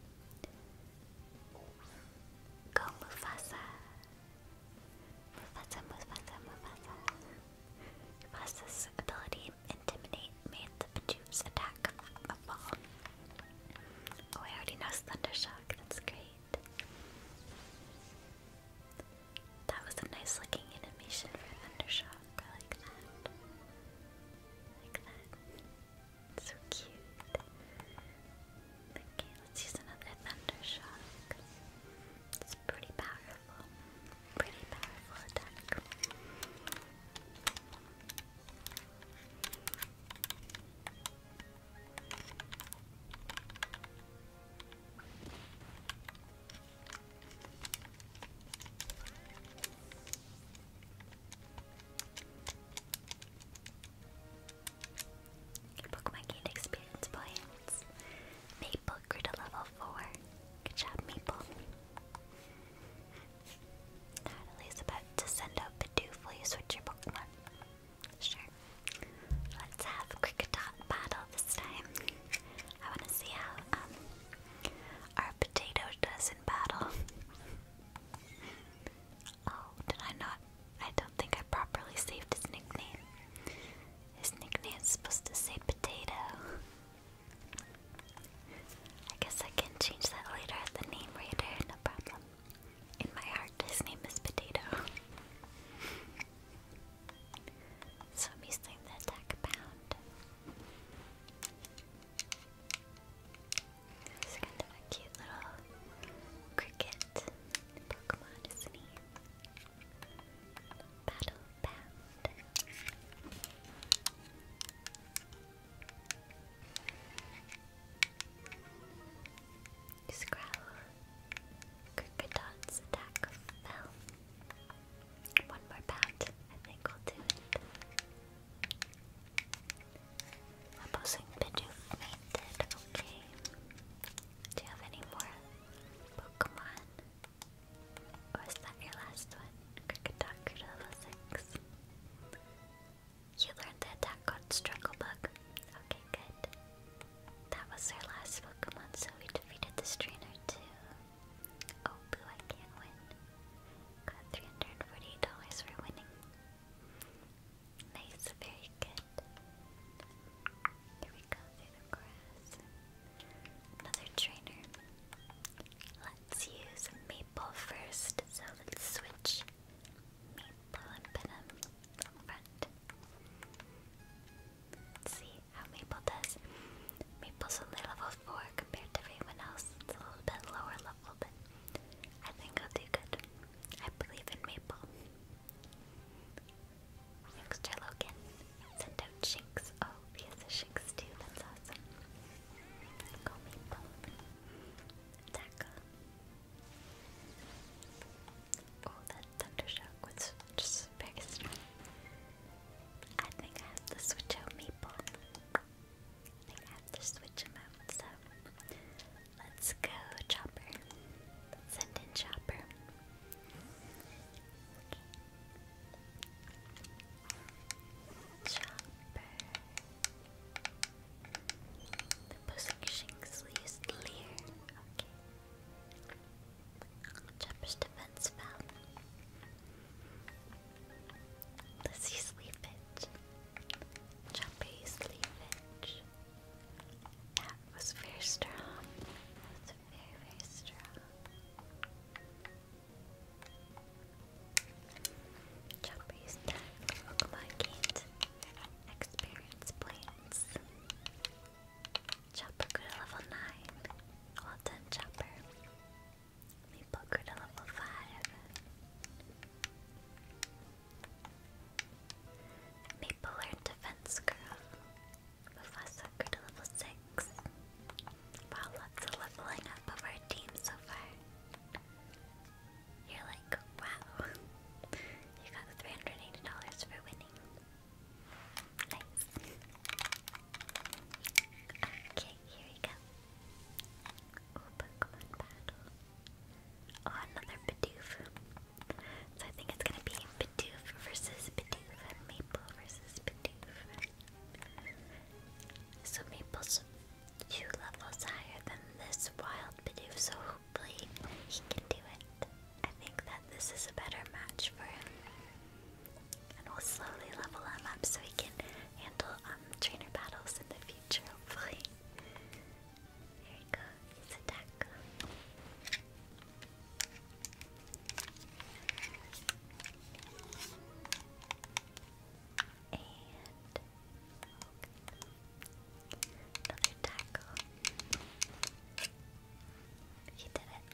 Go Mufasa! Mufasa, Mufasa, Mufasa. Mufasa's ability Intimidate made the Pachoop's attack a fall. Oh, I already know Thundershock, that's great. That was a nice looking animation for Thundershock, I like that. like that. So cute. Okay, let's use another thunder shock. It's pretty powerful. Pretty powerful attack. Your experience points. Maple grew to level 4. Good job, Maple. Natalie's about to send out Bidoof. Will you switch your Pokemon? Sure. Let's have Cricketot battle this time. I want to see how um, our potato does in battle. Oh, did I not I don't think I properly saved his nickname. His nickname is supposed to say potato. I guess I can change that later at the name reader, no problem. In my heart, his name is Potato. so I'm using the attack pound. It's kind of a cute little cricket Pokemon, isn't he? Battle Bound. Scrowl. Cricodot's attack fell. One more bout, I think we'll do it. I'm you've fainted, okay. Do you have any more Pokemon? Or is that your last one? Cricket Doctor level 6. You learned the attack called Struggle Bug. Okay, good. That was our last Pokemon, so we defeated this trainer too. Oh, boo, I can't win. Got $348 for winning. Nice, very good. Here we go through the grass. Another trainer. Let's use Maple first, so let's switch Maple and put front. see how Maple does. Maple's level 4 compared to everyone else. It's a little bit lower level, but I think I'll do good. I believe in Maple. Youngster Logan sent out Shinx. Oh, he has a Shinx too. That's awesome. Go Maple. Taka. Oh, that Thundershock was just very strong. I think I have to switch out Maple. I think I have to switch him out, so Let's go, Chopper. send in Chopper. Chopper. The posting shinks used Leer. Okay. Chopper's defense fell. Let's use Leafage. That was very strong. very, very strong. Chopper used that for Pokemon Experience points. Chopper grew to level 9. Well done, Chopper. Meeple grew to level 5. Maple learned Defense Curve. Mufasa grew to level 6. Wow, lots of leveling up of our team so far. You're like, wow. You got $380 for winning. Nice. Okay, here we go. Oh, Pokemon battle. Oh, another Bidoof. So I think it's gonna be Bidoof versus Bidoof Maple versus Bidoof. So Maple's two levels higher than this wild Bidoof, so hopefully he can do it. I think that this is a better match for him. And we'll slowly level him up so he can handle um, trainer battles in the future, hopefully. Here we go, it's a taco. And another taco. He did it.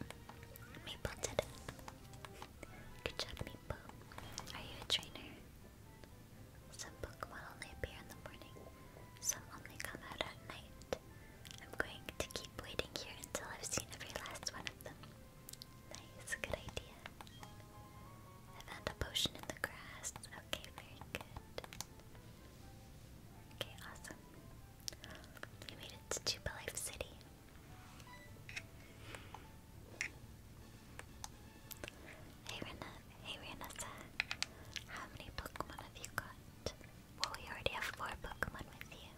Maple did it. Good job, Maple. Are you a trainer? Some Pokemon only appear in the morning. Some only come out at night. I'm going to keep waiting here until I've seen every last one of them. Nice, good idea. I found a potion in the grass. Okay, very good. Okay, awesome. We made it to Tubalife City. Hey Rena, Hey Renessa, how many Pokemon have you got? Well, we already have four Pokemon with you.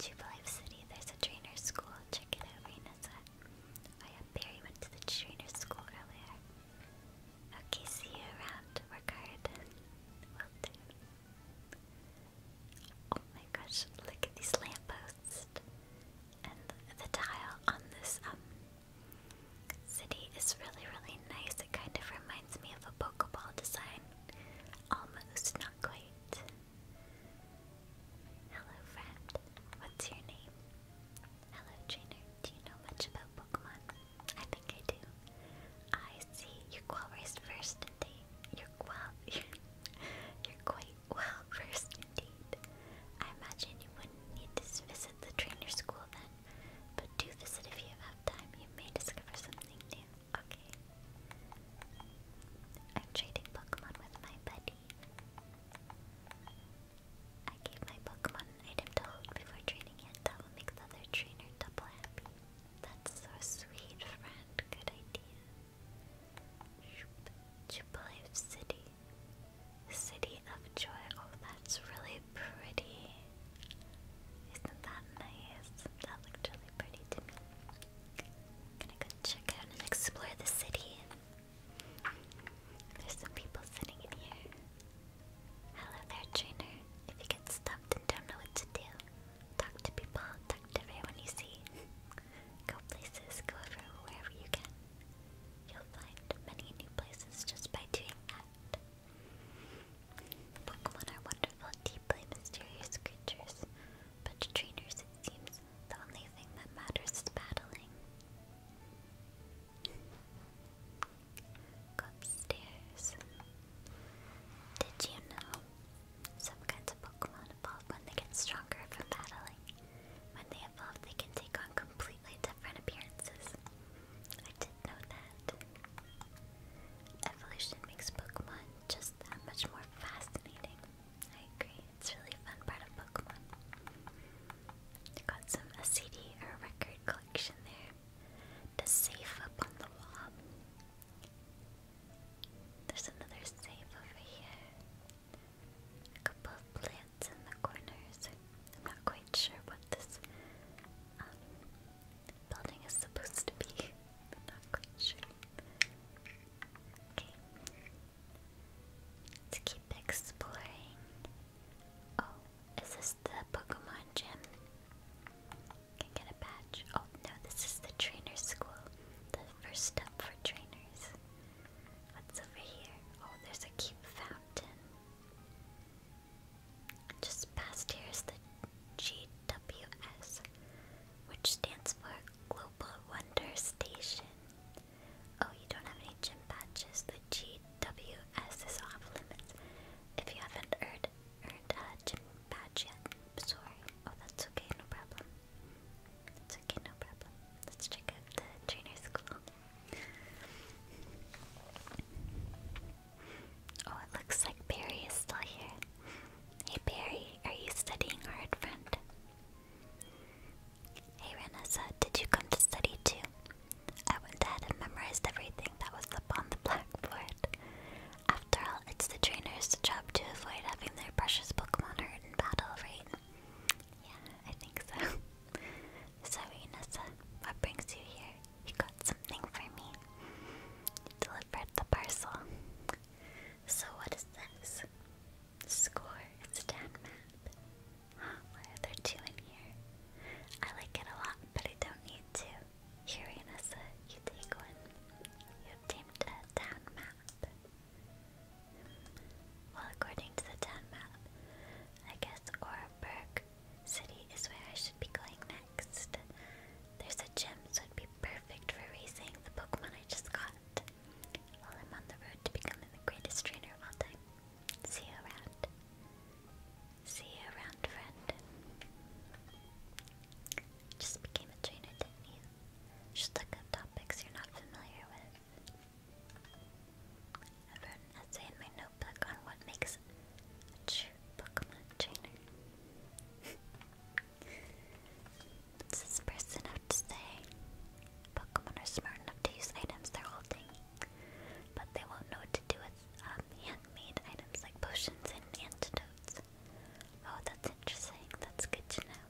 Jubilife City, there's a trainer school. Check it out, Renessa. Oh yeah, Barry went to the trainer school earlier. Okay, see you around. Work hard. Will do. Oh my gosh, look at these lampposts. And the, the tile on this um City is really, really nice. It kind of reminds me of a Pokeball design. Almost, not quite. Hello, friend. What's your name? Hello, trainer. Do you know much about Pokemon? I think I do. I see. You're first, indeed. You're well. You're, quite well versed, indeed. I imagine you wouldn't need to visit the trainer school then. But do visit if you have time. You may discover something new. Okay. I'm trading Pokemon with my buddy. I gave my Pokemon item to before training it. That will make the other trainer double happy. That's so sweet, friend. Good idea. Shoop. Jubilee City. City of Joy. Oh, that's really pretty. Isn't that nice? That looked really pretty to me. gonna go check out and explore the city. There's some people sitting in here. Hello there, trainer. If you get stumped and don't know what to do, talk to people, talk to everyone you see. go places, go wherever you can. You'll find many new places just by doing that. Pokemon are wonderful, deeply mysterious creatures, but trainers it seems the only thing that matters is battling. upstairs. Did you know? Some kinds of Pokemon evolve when they get stronger from battling. When they evolve, they can take on completely different appearances. I didn't know that. Evolution makes Pokemon just that much more fascinating. I agree. It's really fun part of Pokemon. Got some a CD or record collection there. The safe up on the wall. There's another safe over here. A couple of plants in the corners. I'm not quite sure what this um, the building is supposed to be, not quite sure. Okay. Let's keep exploring. Oh, is this the Pokemon gym? Can get a badge. Oh no, this is the trainer school. The first step for trainers. What's over here? Oh, there's a cute fountain. Just past here is the GWS, which stands for Global Wonder Station. Oh, you don't have any gym badges. The GWS is off limits. If you haven't earned, earned a gym badge yet, sorry. Oh, that's okay, no problem. It's okay, no problem. Let's check out the trainer school. Oh, it looks like Barry is still here. Hey Barry, are you studying hard, friend? Hey Renessa, did you come to study too? I went ahead and memorized everything that was up on the blackboard. After all, it's the trainer's job to avoid having their precious Pokemon hurt in battle, right? Yeah, I think so. so Renessa, what brings you here? He got something for me. He delivered the parcel. So what is this? Score, it's map. Huh, why are there two in here? I like it a lot, but I don't need two. Here, Anessa, you take one. You obtained a town map. Well, according to the town map, I guess Aura City is where I should be going next. There's a gym, so it'd be perfect for raising the Pokemon I just got. While I'm on the road to becoming the greatest trainer of all time. See you around. See you around, friend. Just became a trainer, Just look up topics you're not familiar with. I wrote an essay in my notebook on what makes a true Pokemon trainer. this person have to Pokemon are smart enough to use items they're holding, but they won't know what to do with um, handmade items like potions and antidotes. Oh, that's interesting. That's good to know.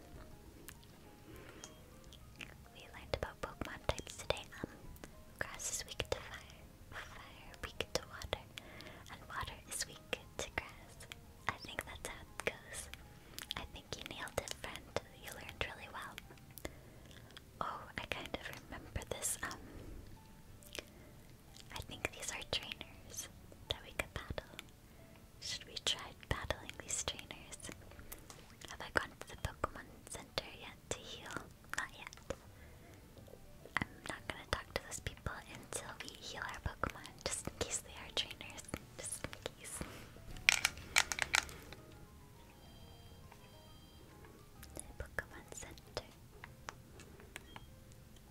We learned about Pokemon types today. Um, grass is weak fire fire weak to water, and water is weak to grass. I think that's how it I think you nailed it, friend. You learned really well. Oh, I kind of remember this, um... I think these are trainers that we could battle. Should we try battling these trainers? Have I gone to the Pokemon Center yet to heal? Not yet. I'm not gonna talk to those people until we heal our Pokemon, just in case they are trainers. Just in case. The Pokemon Center.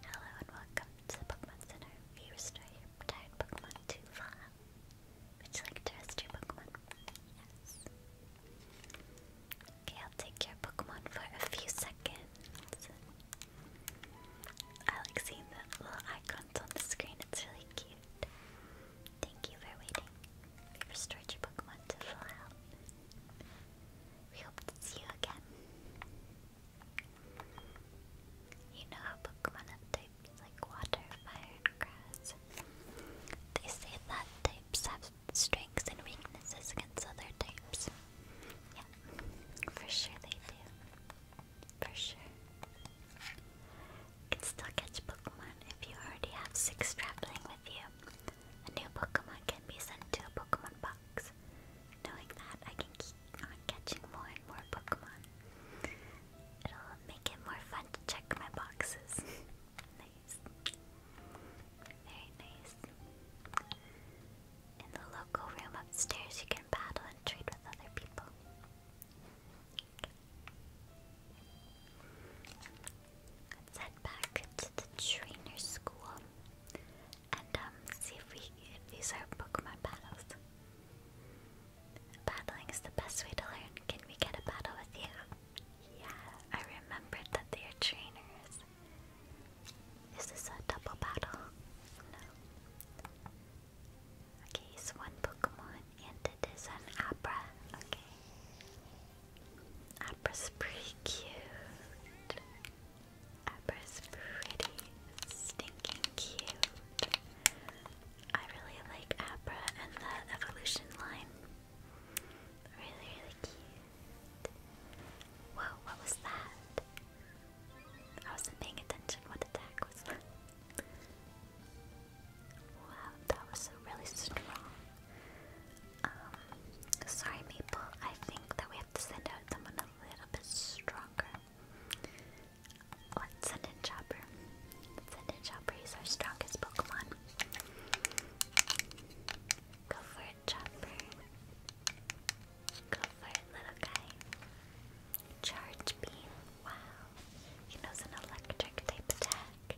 Hello and welcome to the Pokemon Center. We restore your tired Pokemon to Vala. Would you like to rest your Pokemon? Yes. Okay, I'll take your Pokemon for a few seconds. I like seeing the little icons on the screen, it's really cute. Thank you for waiting. we restored your Pokemon to full health. We hope to see you again. You know how Pokemon have types like water, fire, and grass. They say that types have strengths and weaknesses against other types. Yeah, for sure they do. For sure. can still catch Pokemon if you already have six traveling with you. A new Pokemon can be sent to a Pokemon box. Knowing that, I can keep on catching more and more Pokemon. It'll make it more fun to check my boxes. nice. Very nice. In the local room upstairs, you can battle and trade with other people. Let's head back to the trainer school and um, see if we if these are Pokemon battles. Battling is the best way to learn. Can we get a battle with you? Yeah, I remembered that they are trainers. Is this a double battle? No. Okay, it's one Pokemon and it is an Abra. Okay. Abra's pretty cute. Abra's pretty stinking cute. I really like Abra and the evolution line. Really, really cute. Whoa, what was that? I wasn't paying attention what attack was that. wow, that was really strong. Um, sorry Maple, I think that we have to send out someone a little bit stronger. Let's send in Chopper. let send in Chopper, he's our strongest Pokemon. Go for it, Chopper. Go for it, little guy. Charge beam. Wow. He knows an electric type attack.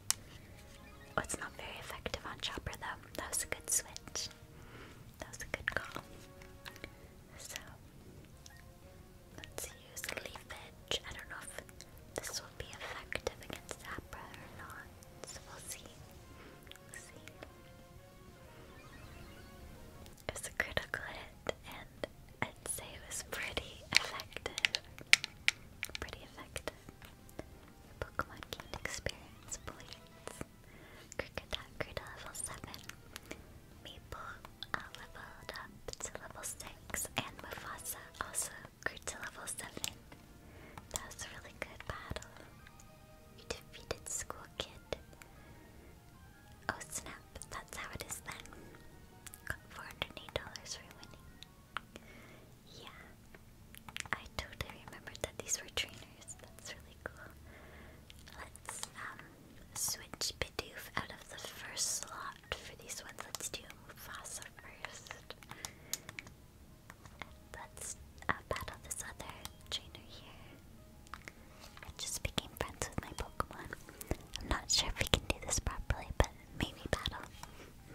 Oh, it's not very effective on Chopper though. That was a good switch. That was a good call. So let's use leafage. I don't know if this will be effective against Zapra or not. So we'll see. see. It was a critical hit, and I'd say it was pretty effective. Pretty effective. Your Pokemon gained experience points. Krikidakri to level 7. Meeple uh, leveled up to level 6, and Mufasa also grew to level 7. That was a really good battle. You defeated school kid. Oh snap, that's how it is then. Got $408 for winning. Yeah. I totally remembered that these were trainers. That's really cool. Let's um, switch Bidoof out of the first slot for these ones. Let's do Mufasa first. Let's uh, battle this other trainer here. I just became friends with my Pokemon. I'm not sure if we can do this properly, but maybe battle.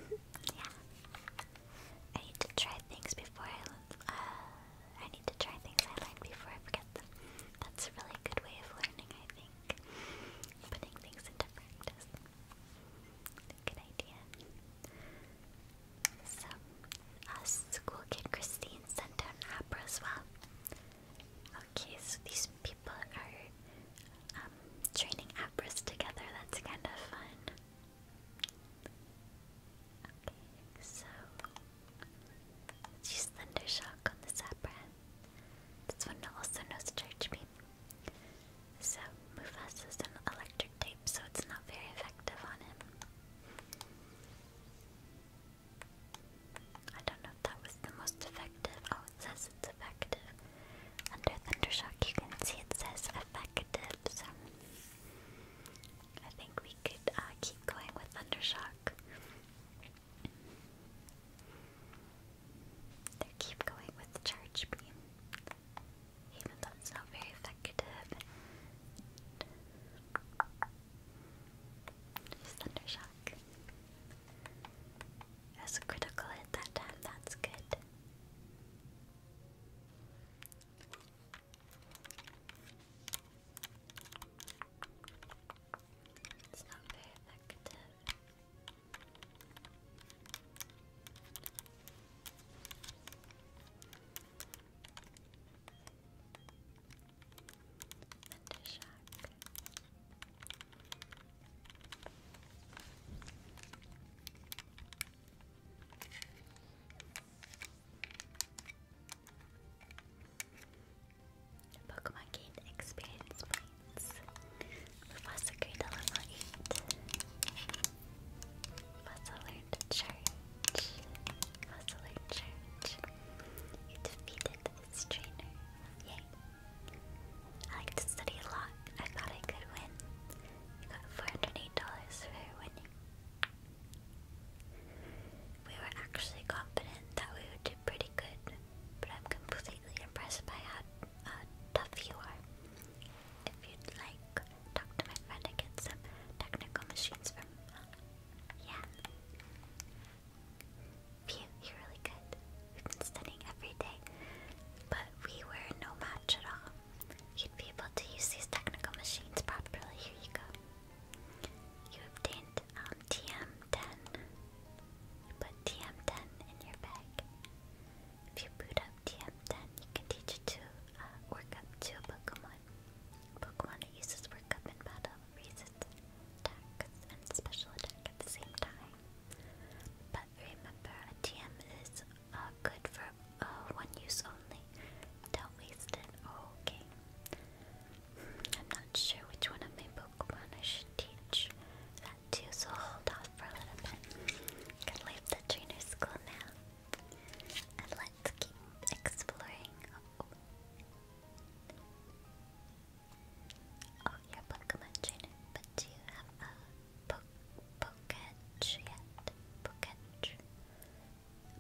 yeah. I need to try things before I. Uh, I need to try things I learned before I forget them. That's a really good way of learning, I think. Putting things into practice. Good idea. So, school kid Christine sent down an opera as well. Okay, so these people are um, training operas together. That's kind of fun. Okay, so let's use Thundershock on this opera. This one also knows Church Beam. So, Mufasa an electric type, so it's not very effective on him. I don't know that was the most effective. Oh, it says it's effective. Under Thundershock, you can see it says effective, so I think we could uh, keep going with Thundershock. They keep going with Charge Beam, even though it's not very effective. Thundershock. That's a critical hit that time, that's good. It's not very effective and a shack. experience points. Professor Greedle level 8. Musselard Church. Musselard Church. You defeated this trainer. Yay. I like to study a lot. I thought I could win. got $408 for winning. We were actually confident that we would do pretty good, but I'm completely impressed by how tough you are. If you'd like, talk to my friend and get some technical machines from yeah. Phew, you're really good. We've been studying every day, but we were no match at all. You'd be able to use these technical machines properly. Here you go. You obtained um, TM10. You put TM10 in your bag. If you boot up TM10, you can teach it to uh, work up to a Pokemon. Pokemon uses work up in battle resists attacks and special attack at the same time. But remember, TM is uh, good for uh, one use only. Don't waste it. okay. I'm not sure which one of my Pokemon I should teach that to, so hold off for a little bit. Gonna leave the trainer school now. And let's keep exploring. Oh, you Pokemon trainer, but do you have a po Poketch yet? Poketch.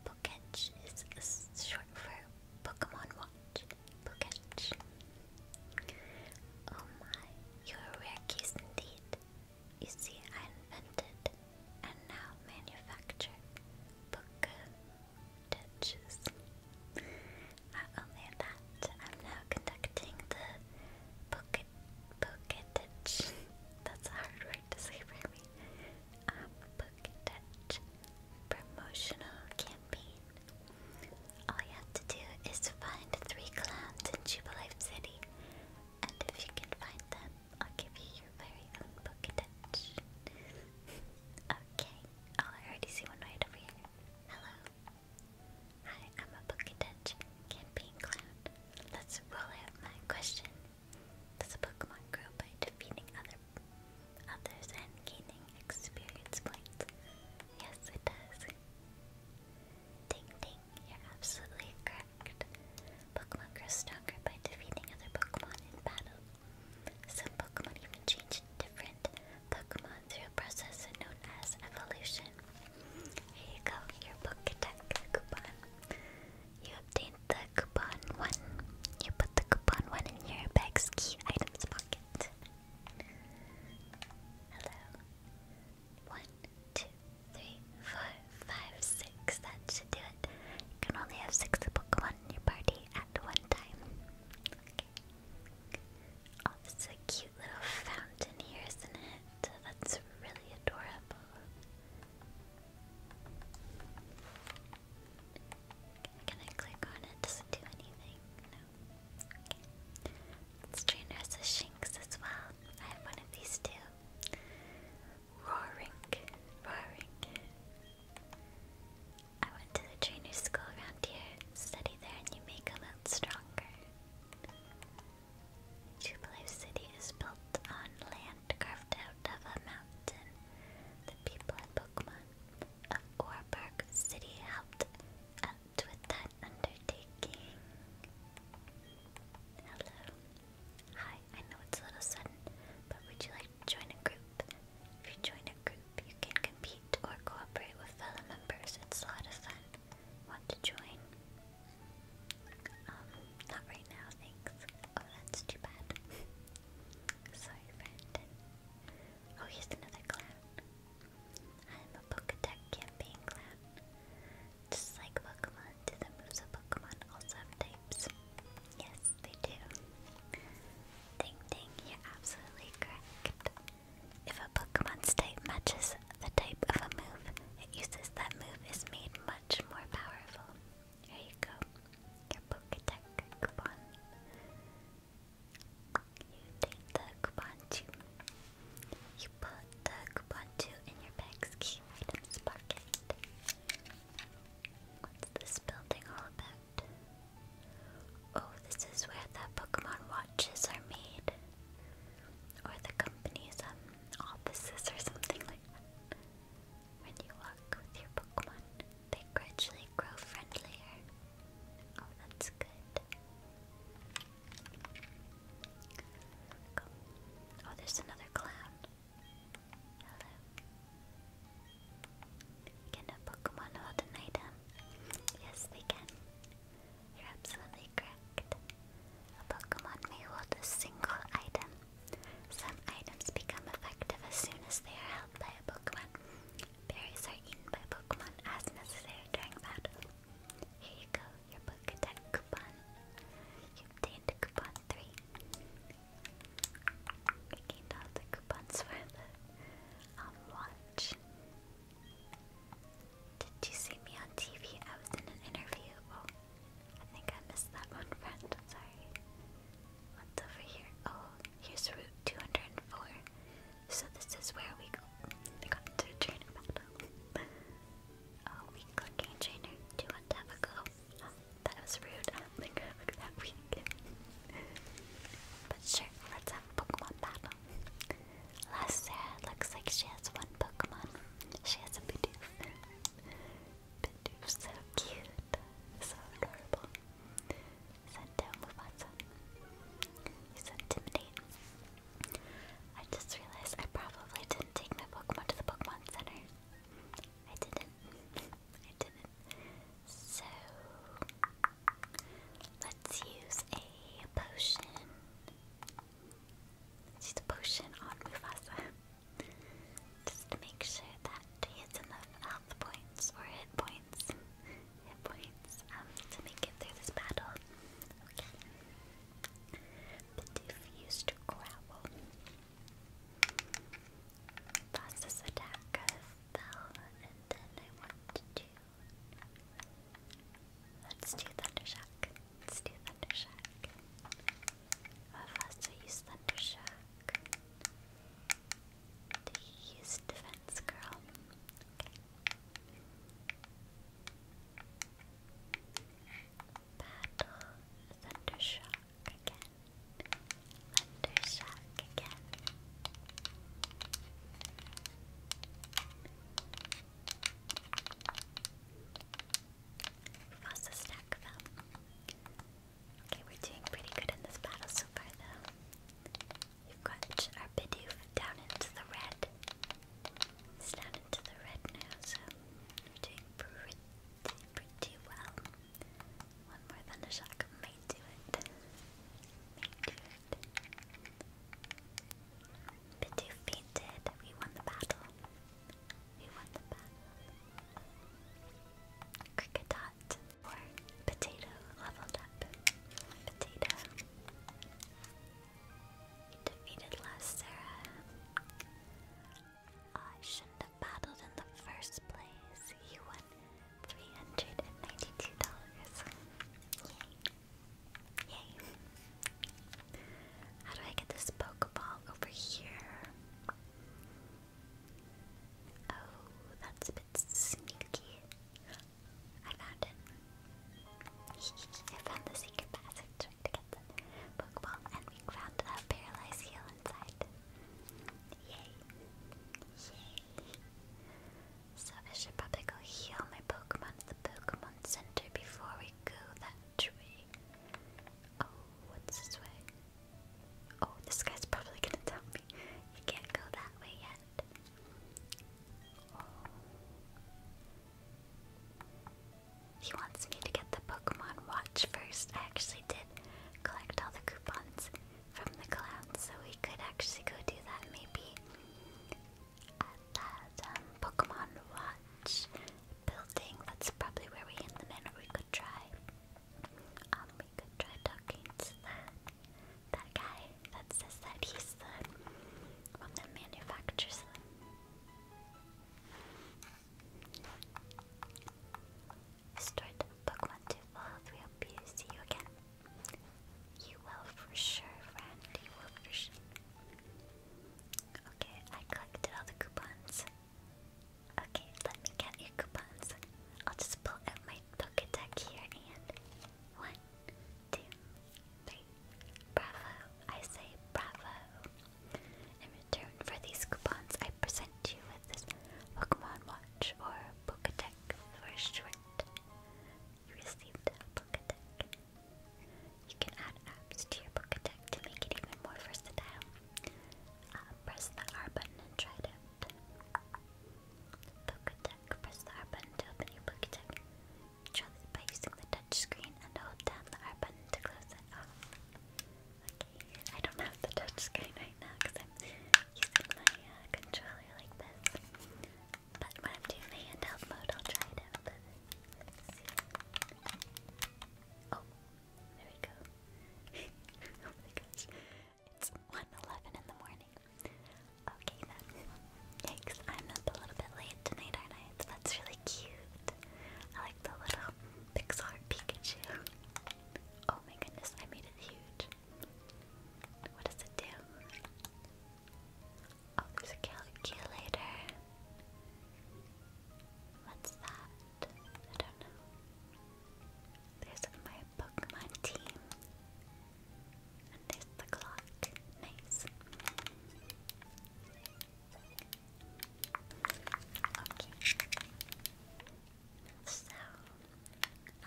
Poketch is short for Pokemon Watch. Poketch. Oh my, you're rare case indeed. You see, I invented and now manufacture Boku touches. Not only that, I'm now conducting the Boku touch. That's a hard word to say for me. Um, Boku promotional campaign. All you have to do is find three clowns in Jubilee City, and if you can find them, I'll give you your okay. Oh, I already see one right over here. Hello. Hi, I'm a book touch campaign clown. Let's roll out my question. Does a Pokemon grow by defeating other others and gaining experience points? Yes, it does. Ding ding, you're absolutely correct. Pokemon grow stronger by defeating other Pokemon in battle. Some Pokemon even change different Pokemon through a process known as evolution. Here you go, your Pokedex coupon. You obtained the coupon 1. You put the coupon 1 in your bag's key items pocket. Hello. 1, That should do you can only have six Pokemon in your party at one time. Okay. Oh, this is a cute little fountain here, isn't it? That's really adorable. Can I click on it? Does it do anything? Okay. Let's train her as as well. I have one of these too. Roaring. Roaring. I went to the trainer's school around here. Study there and you may come out stronger. Jubilee City is built on land carved out of a mountain. The people of Pokemon of Orberg City helped out with that undertaking. Hello. Hi, I know it's a little sudden, but would you like to join a group? If you join a group, you can compete or cooperate with fellow members. It's a lot of fun. Want to join? Um, not right now, thanks. Oh, that's too bad. Sorry, friend. Oh, here's another clown. I'm a Pokédex campaign clown. Just like Pokemon, the moves of Pokemon also have types? Yes, they do. Ding ding, you're absolutely correct. If a Pokemon's type matches the type of a move it uses, that move is made much more powerful. There you go. Your Pokedex coupon. You take the coupon too. You put the coupon too in your bag's key items What's this building all about? Oh, this is where the Pokemon watches are made. Or the company's um, offices or something like When you walk with your Pokemon, they gradually grow friendlier. Oh, that's good. Oh, there's another clown. Can a Pokemon hold an item? Yes, we can. You're absolutely correct. A Pokemon may hold a single item. Some items become effective as soon as they are held by a Pokemon. Berries are eaten by Pokemon as necessary during battle. Here you go, your Pokedex coupon. You obtained coupon 3. Picking out the coupons for the um, watch. Did you see me on TV? I was in an interview. Oh, I think I missed that one, friend. sorry. What's over here? Oh, here's Route 204. So this is where we go. I got oh, we clicking trainer. Do you want to have a go? That was rude. I but sure, let's have a Pokemon battle. Sarah looks like she has one Pokemon. She has a Bidoof. Bidoof's so cute. So adorable. Sento Mufasa. He's intimidating. I just realized I probably didn't take my Pokemon to the Pokemon Center. I didn't. I didn't. So let's use a potion. use a potion on Mufasa. Just to make sure that he has enough health points or hit points. hit points um, to make it through this battle. Okay. But if used to growl. Boss's attack fell, and then I want to do. Let's do Thundershock. Let's do Thundershock. How fast do I use Do you use Defense Girl? Okay. Battle Thundershock again. Thunder again. Lost stack of Okay, we're doing pretty good in this battle so far, though. We've got our Bidoof down into the red. It's down into the red now, so we're doing pretty, pretty well. One more thunder shock might do it. Might do it. Bidoof We won the battle. We won the battle. Cricket dot potato leveled up. Potato. defeated last Sarah. I shouldn't have battled in the first place, you won three hundred and ninety-two dollars. Yay! Yay! How do I get this Pokeball over here? Oh, that's a bit sneaky. I found it. I found the secret passage to get the Pokeball, and we found a paralyzed heel inside. Yay. Yay. So I should probably go heal my Pokemon at the Pokemon Center before we go that way. Oh, what's this way? Oh, this guy's probably gonna tell me you can't go that way yet. Oh. He wants me to get the Pokemon Watch first. I actually did collect all the coupons from the clouds, so we could actually go do that maybe at that um, Pokemon Watch building. That's probably where we end the minute. We could try. Um, we could try talking to that guy that says that he's the one that Start Pokemon to fall, we hope you see you again. You will for sure, friend. You will for sure. Okay, I collected all the coupons. Okay, let me get your coupons. I'll just pull out my Pokedex here and one, two, three. Bravo! I say bravo. In return for these coupons, I present you with this Pokemon Watch or Pokedex attack for short. You received a book You can add apps to your book to make it even more versatile. Uh, press the R button and try it out. Press the R button to open your book attack. by using the touch and hold down the R button to close it. Okay, I don't have the touch right now uh, but when I'm handheld mode, I'll try it out. Oh, there we go. oh my gosh. It's 1.11 in the morning. Okay then. Yikes, I'm up a little bit late tonight, That's really cute. I like the little pixel Pikachu. Oh my goodness, I made it huge. What does it do? Oh, there's a calculator. What's that? I don't know. There's my Pokemon team. And there's the clock. Nice. Okay. So,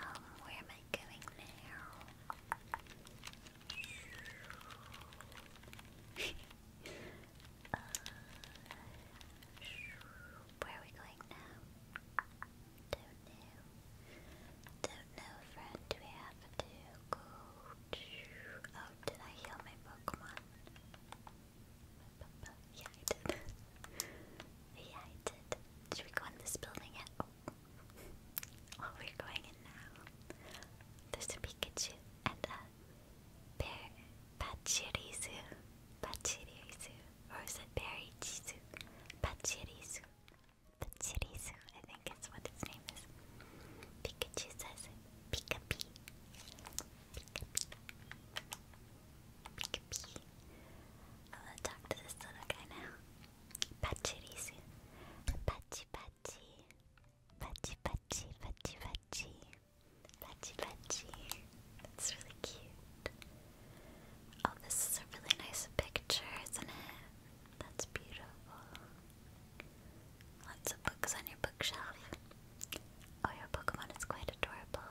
um, where am I going now? Uh, where are we going now? Don't know. Don't know, friend. we have to go? Oh, did I heal my Pokemon? Yeah, I did. Yeah, I did. Should we go in this building yet? Oh, oh we're going in now. There's a Pikachu and a bear. Pachirisu. Pachirisu. Or is it Berichisu? Pachirisu. Pachirisu, I think is what its name is. Pikachu says it. Pee. i talk to this little guy now. Pachirisu. Pachi pachi. Pachi pachi pachi pachi. Pachi pachi. That's really cute. Oh, this is a really nice picture, isn't it? That's beautiful. Lots of books on your bookshelf. Oh, your Pokemon is quite adorable.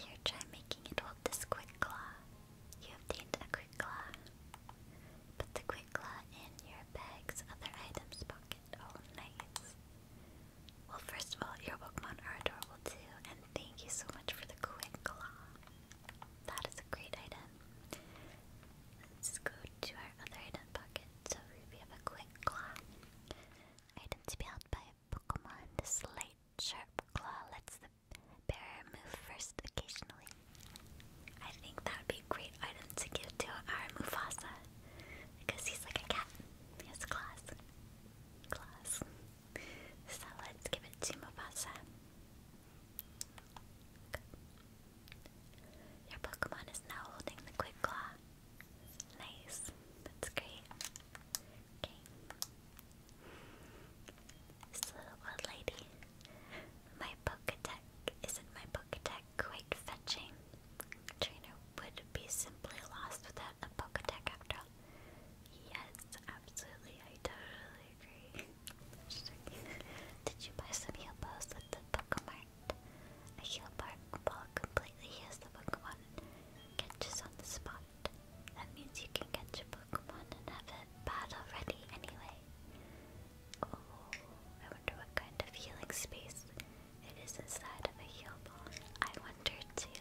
Here, try making it hold this quick claw. You obtained a quick claw. Put the quick claw in your bag's other items pocket. All nice. Well, first of all, your Pokemon are adorable too, and thank you so much for the quick claw. That is a great item. Let's go to our other item pocket. So we have a quick claw. Item to be held by Pokemon. This light, sharp claw lets the bearer move first occasionally. I think that would be a great item to give to our Mufasa. Because he's like a cat. He has claws. Claws. So let's give it to Mufasa. Your Pokemon is now holding the Quick Claw. Nice. That's great. Okay. This little old lady. My Pokedex isn't my Pokedex quite fetching. Trainer would be simply lost without a Pokedex after all. Yes, absolutely. I totally agree. Did you buy some heal balls at the Pokemart? A heal ball completely heals the Pokemon and catches on the spot. That means you can catch your Pokemon and have it battle ready anyway. Oh, I wonder what kind of healing space it is inside of a heal ball. I wonder too.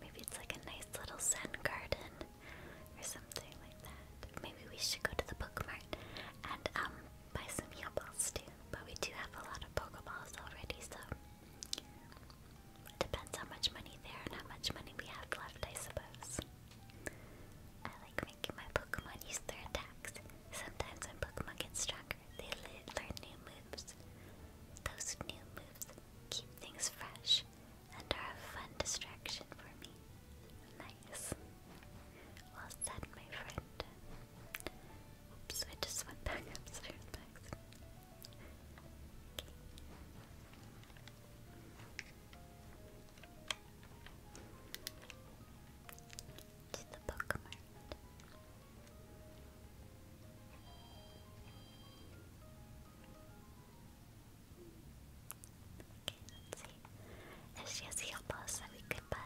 Maybe it's like a nice little zen garden or something like that. Maybe we should go to the book mart and um buy some heal balls too. But we do have a lot of Pokeballs already, so Depends how much money there and how much money we have left, I suppose. I like making my Pokemon use their attacks. Sometimes when Pokemon get stronger, they learn new moves. Those new moves keep things fresh and are a fun distraction for me. Nice. Well said, my friend. Oops, I just went back upstairs to the bookmark. Okay, let we could buy.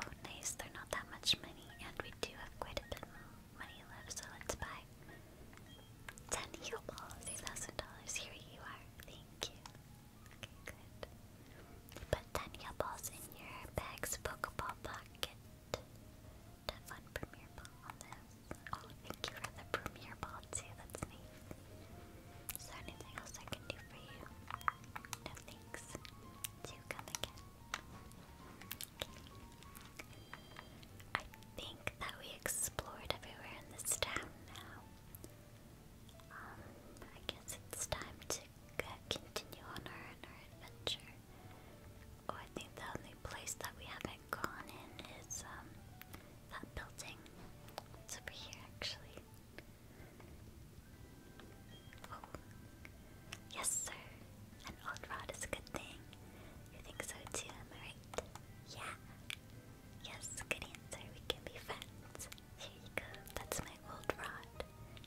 Oh nice, they're not that much money, and we do have quite a bit money left, so let's buy Ten heal balls, eight thousand dollars. Here you are. Thank you. good. Put ten heal balls in your bag's Pokeball pocket. That one premiere ball oh, oh, thank you for the premiere ball too. That's nice. Is there anything else I can do for you? No thanks. Do come again. I think that we explored everywhere in this town now. Um, I guess it's time to continue on our, adventure. Oh, I think the only place that we haven't gone in is um, that building. It's over here, actually. Oh. yes, sir old rod is a good thing. You think so too, am I right? Yeah. Yes, good answer. We can be friends. Here you go. That's my old rod.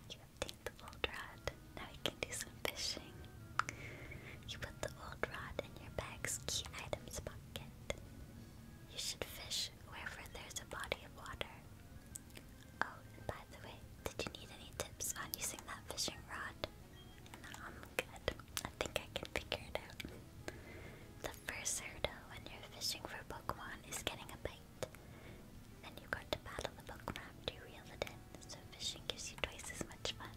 You obtained the old rod. Now we can do some fishing. You put the old rod in your bag's key items pocket. You should fish wherever there's a body of water. Oh, and by the way, did you need any tips on using that fishing rod? No, I'm good. I think I can figure it out. The first hurdle when you're fishing for Pokemon is getting a bite. Then you got to battle the Pokemon after you reel it in, so fishing gives you twice as much fun.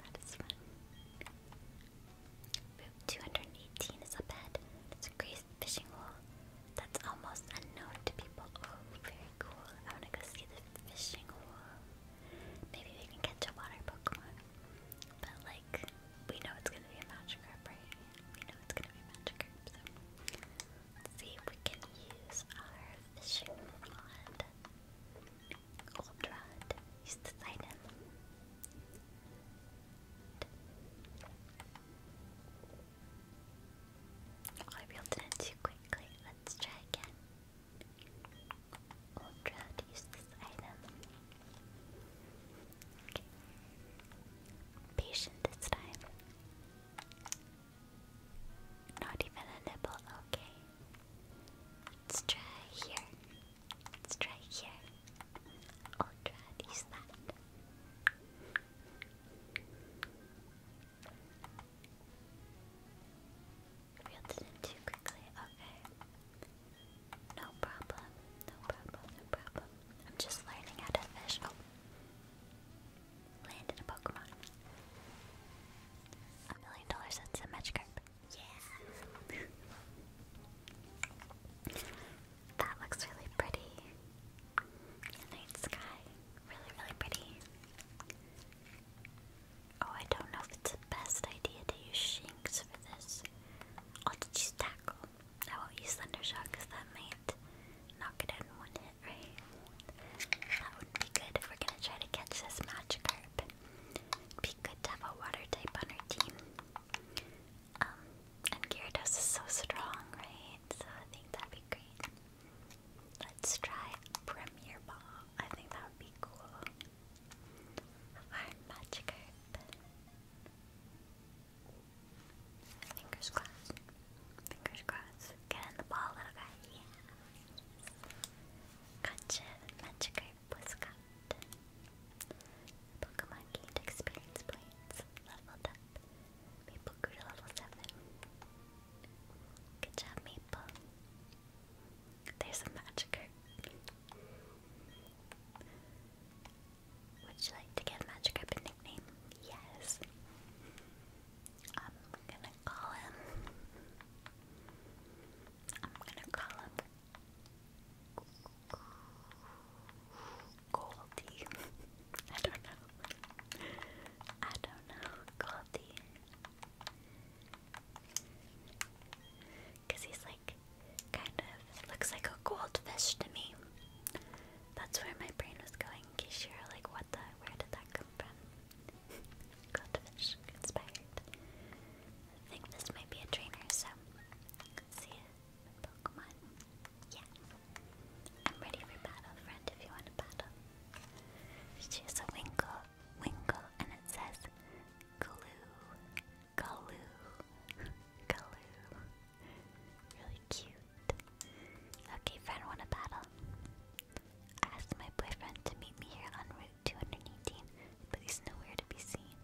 That is fun. Route 218 is up ahead. It's a great fishing hole that's almost unknown to people. Oh, very cool. I want to go see the fishing hole. Maybe we can catch a water Pokemon. But like, we know it's gonna be a Magikarp, right? We know it's gonna be Magikarp, so let's see if we can use our fishing rod. Gold rod. Use this item. I reeled it in too quickly. Let's try again. Or use this item. Patient this time. Not even a nibble, okay. Let's try here. Let's try here. i use that too quickly. Okay. No problem. No problem. No problem. I'm just learning how to fish. Oh. Landed a Pokemon. A million dollars that's a match card. Yeah. that looks really pretty. night sky. Really, really pretty. Oh, I don't know if it's the best idea to use Shinx for this. I'll just Tackle. I won't use Thunder Shock because that might knock it out in right? That would be good if we're gonna try to catch this Magikarp. It'd be good to have a water type on our team. Um, and Gyarados is so strong, right? So I think that'd be great. Let's try Premier Ball. I think that would be cool. Our Magikarp. Fingers crossed. Fingers crossed. Get in the ball, little guy. Yeah. Gotcha. Magikarp was got. Pokemon gained experience points. Leveled up. Maple grew to level 7. Good job, Maple. There's a Magikarp. Would you like to give Magikarp a nickname? Yes. I'm gonna call him. I'm gonna call him Goldie. I don't know. I don't know. Goldie. Because he's like, kind of looks like a goldfish to me. That's where my brain was going, you were like, what the? Where did that come from? goldfish inspired. I think this might be a trainer, so see a Pokemon. Yeah. I'm ready for battle, friend, if you want to battle. She has a winkle, winkle, and it says Galoo, Galoo, Galoo. Really cute. Okay, friend, want a battle? asked my boyfriend to meet me here on Route 218, but he's nowhere to be seen.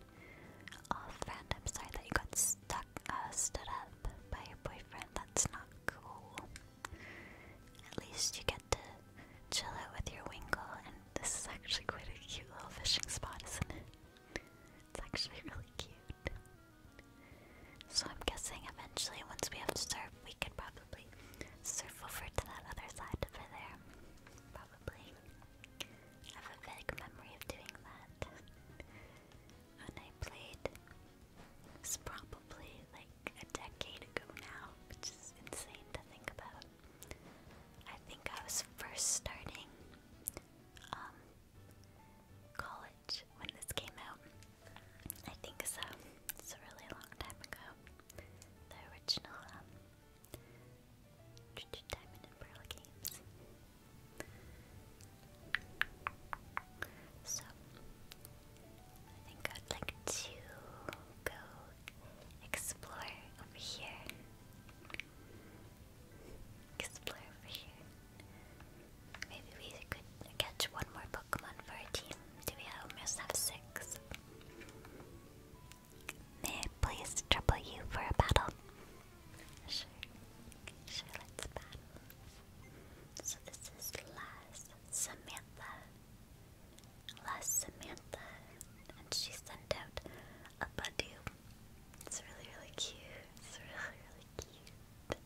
Oh, friend, I'm sorry that you got stuck, uh, stood up by your boyfriend. That's not cool. At least you get to chill out with your winkle, and this is actually quite a cute little fishing spot, isn't it? It's actually really cute. So I'm guessing eventually, once we have to surf, we could probably surf over to that other side over there. Probably. I have a vague memory of doing that when I played. It's probably like a decade ago now, which is insane to think about. I think I was first starting um, college when this came out. I think so. It's a really long time ago. The original um, Diamond and Pearl games. So I think I'd like to go explore over here. Explore over here. Maybe we could catch one more Pokemon for our team. Do we almost have six? May I please trouble you for a battle? Sure. Sure, let's battle. So this is Laz, Samantha, last Samantha, and she sent out a Badu. It's really, really cute. It's really, really cute.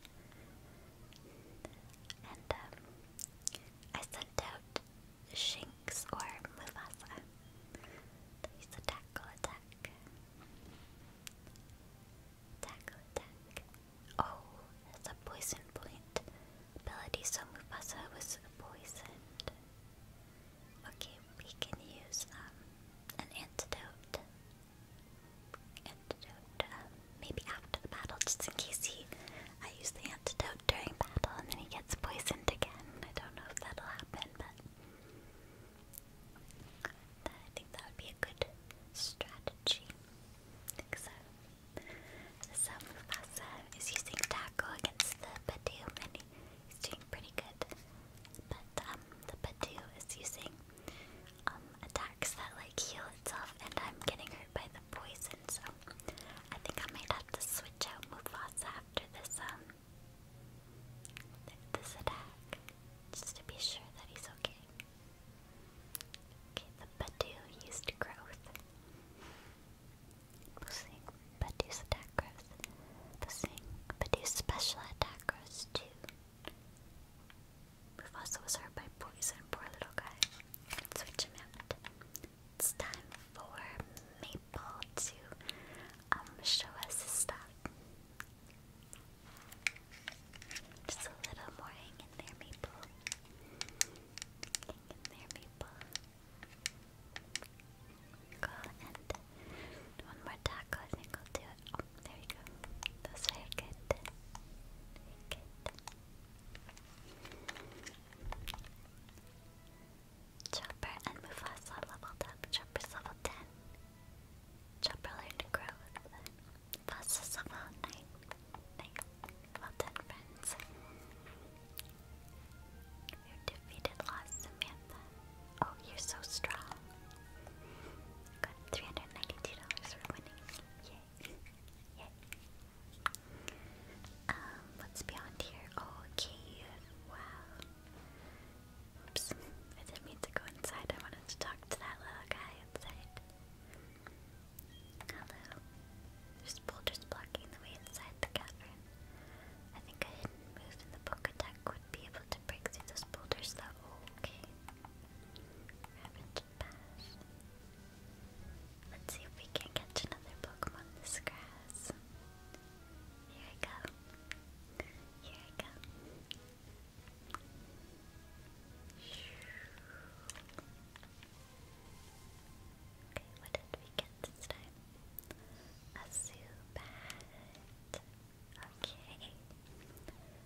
And um, I sent out Shinx or Mufasa. Please tackle attack. Tackle attack. Oh, that's a poison point ability, so Mufasa was poisoned. Okay, we can use um, an antidote. Antidote, uh, maybe after the battle, just in case he I use the antidote during battle and then he gets poisoned again. I don't know if that'll happen, but I think that would be a good strategy. think so. So Mufasa is using tackle against the Badoom and He's doing pretty good. But um, the Badu is using um, attacks that like heal itself and I'm getting hurt by the poison, so I think I might have to switch out Mufasa after this um this attack. Just to be sure that he's okay. Okay, the Badu used growth. Boosting, does attack grows. Boosting, does special attack growth too. Mufasa was hurt by poison, poor little guy. switch him out. It's time for Maple to um show us his stuff. Just a little more hang in there, Maple. in there, Maple one more taco, I think will do it. there we go. Those are good. good. Chopper and Mufasa leveled up. Chopper's level 10. Chopper learned to grow Mufasa's level 9. Nice. Well done, friends. You defeated Lost Samantha. Oh, you're so strong. Got $392 for winning. Yay. Yay. Um, what's beyond here? Oh, a Wow. Oops. I didn't mean to go inside. I wanted to talk to that little guy outside. Hello. There's boulders blocking the way inside the cavern. I think I hidden move in the book deck would be able to break through those boulders though. Okay. Let's see if we can catch another Pokemon this grass. Here I go. Here I go. Okay, what did we get this time? A Zubat. Okay.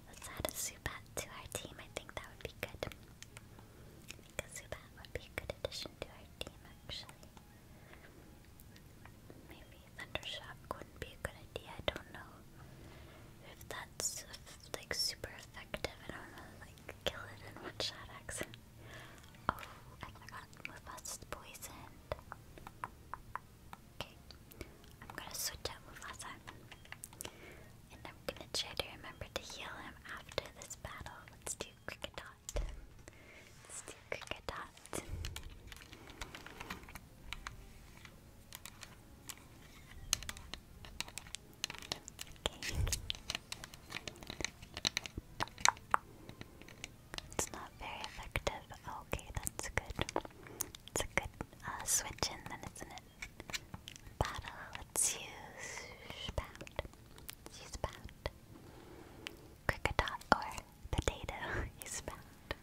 Let's add a Zubat to our team. I think that would be good. I think a Zubat would be a good addition to our team, actually. Maybe Thundershock wouldn't be a good idea. I don't know if that's like super effective. I don't know, like kill it in one shot accident. Oh, I forgot Mufas is poisoned. Okay, I'm gonna switch out Mufasa. And I'm gonna try to remember to heal him after this battle. Let's do Cricket Dot. Let's do Cricket Okay. It's not very effective. Okay, that's good. It's a good uh, switch in then, isn't it? Battle. Let's use Pound. use Pound. Cricketop or Potato. use Pound.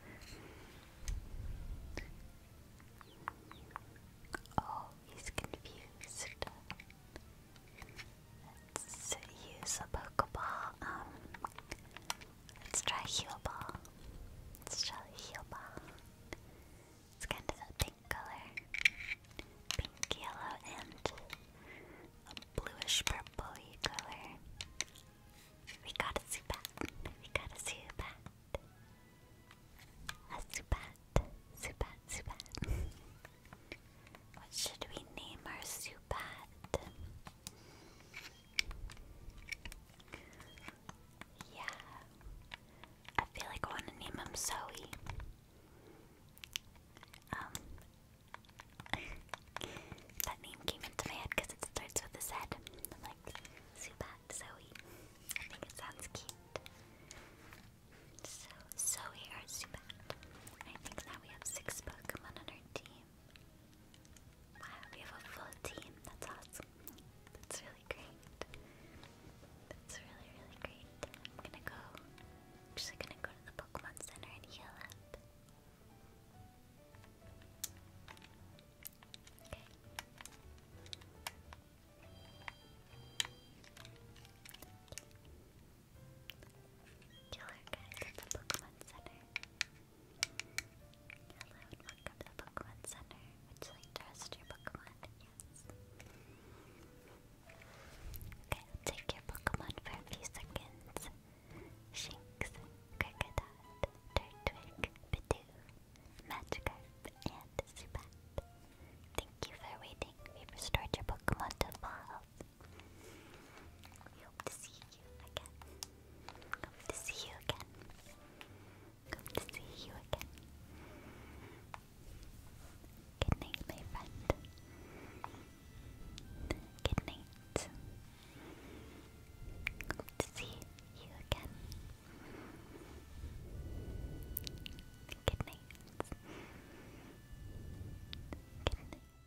Oh, he's confused. Let's use a Pokeball. Um, let's try Heal Ball. Let's try Heal Ball. It's kind of a pink color. Pink, yellow, and a bluish purpley color. We got a Zubat. We got a Zubat. A Zubat. Zubat, Zubat. what should we name our Zubat? Yeah. I feel like I want to name him Zoe. Um, that name came into my head because it starts with his am like, Zubat, Zoe. I think it sounds cute. So, Zoe or Zubat. I think now we have six Pokemon on our team. Wow, we have a full team. That's awesome. That's really great. That's really, really great. I'm gonna go. actually gonna go to the Pokemon Center and heal up. Okay. Hello and welcome to the Pokemon Center. Would you like to rest your Pokemon? Yes. Okay, take your Pokemon for a few seconds. Shinx, Krikadot, Turtwig, Bidoo, Magikarp, and Zubat. Thank you for waiting. We've restored your Pokemon to full health. We hope to see you again. Hope to see you again. Hope to see you again. Good night, my friend. Good night. Hope to see you again. Good night. Good night.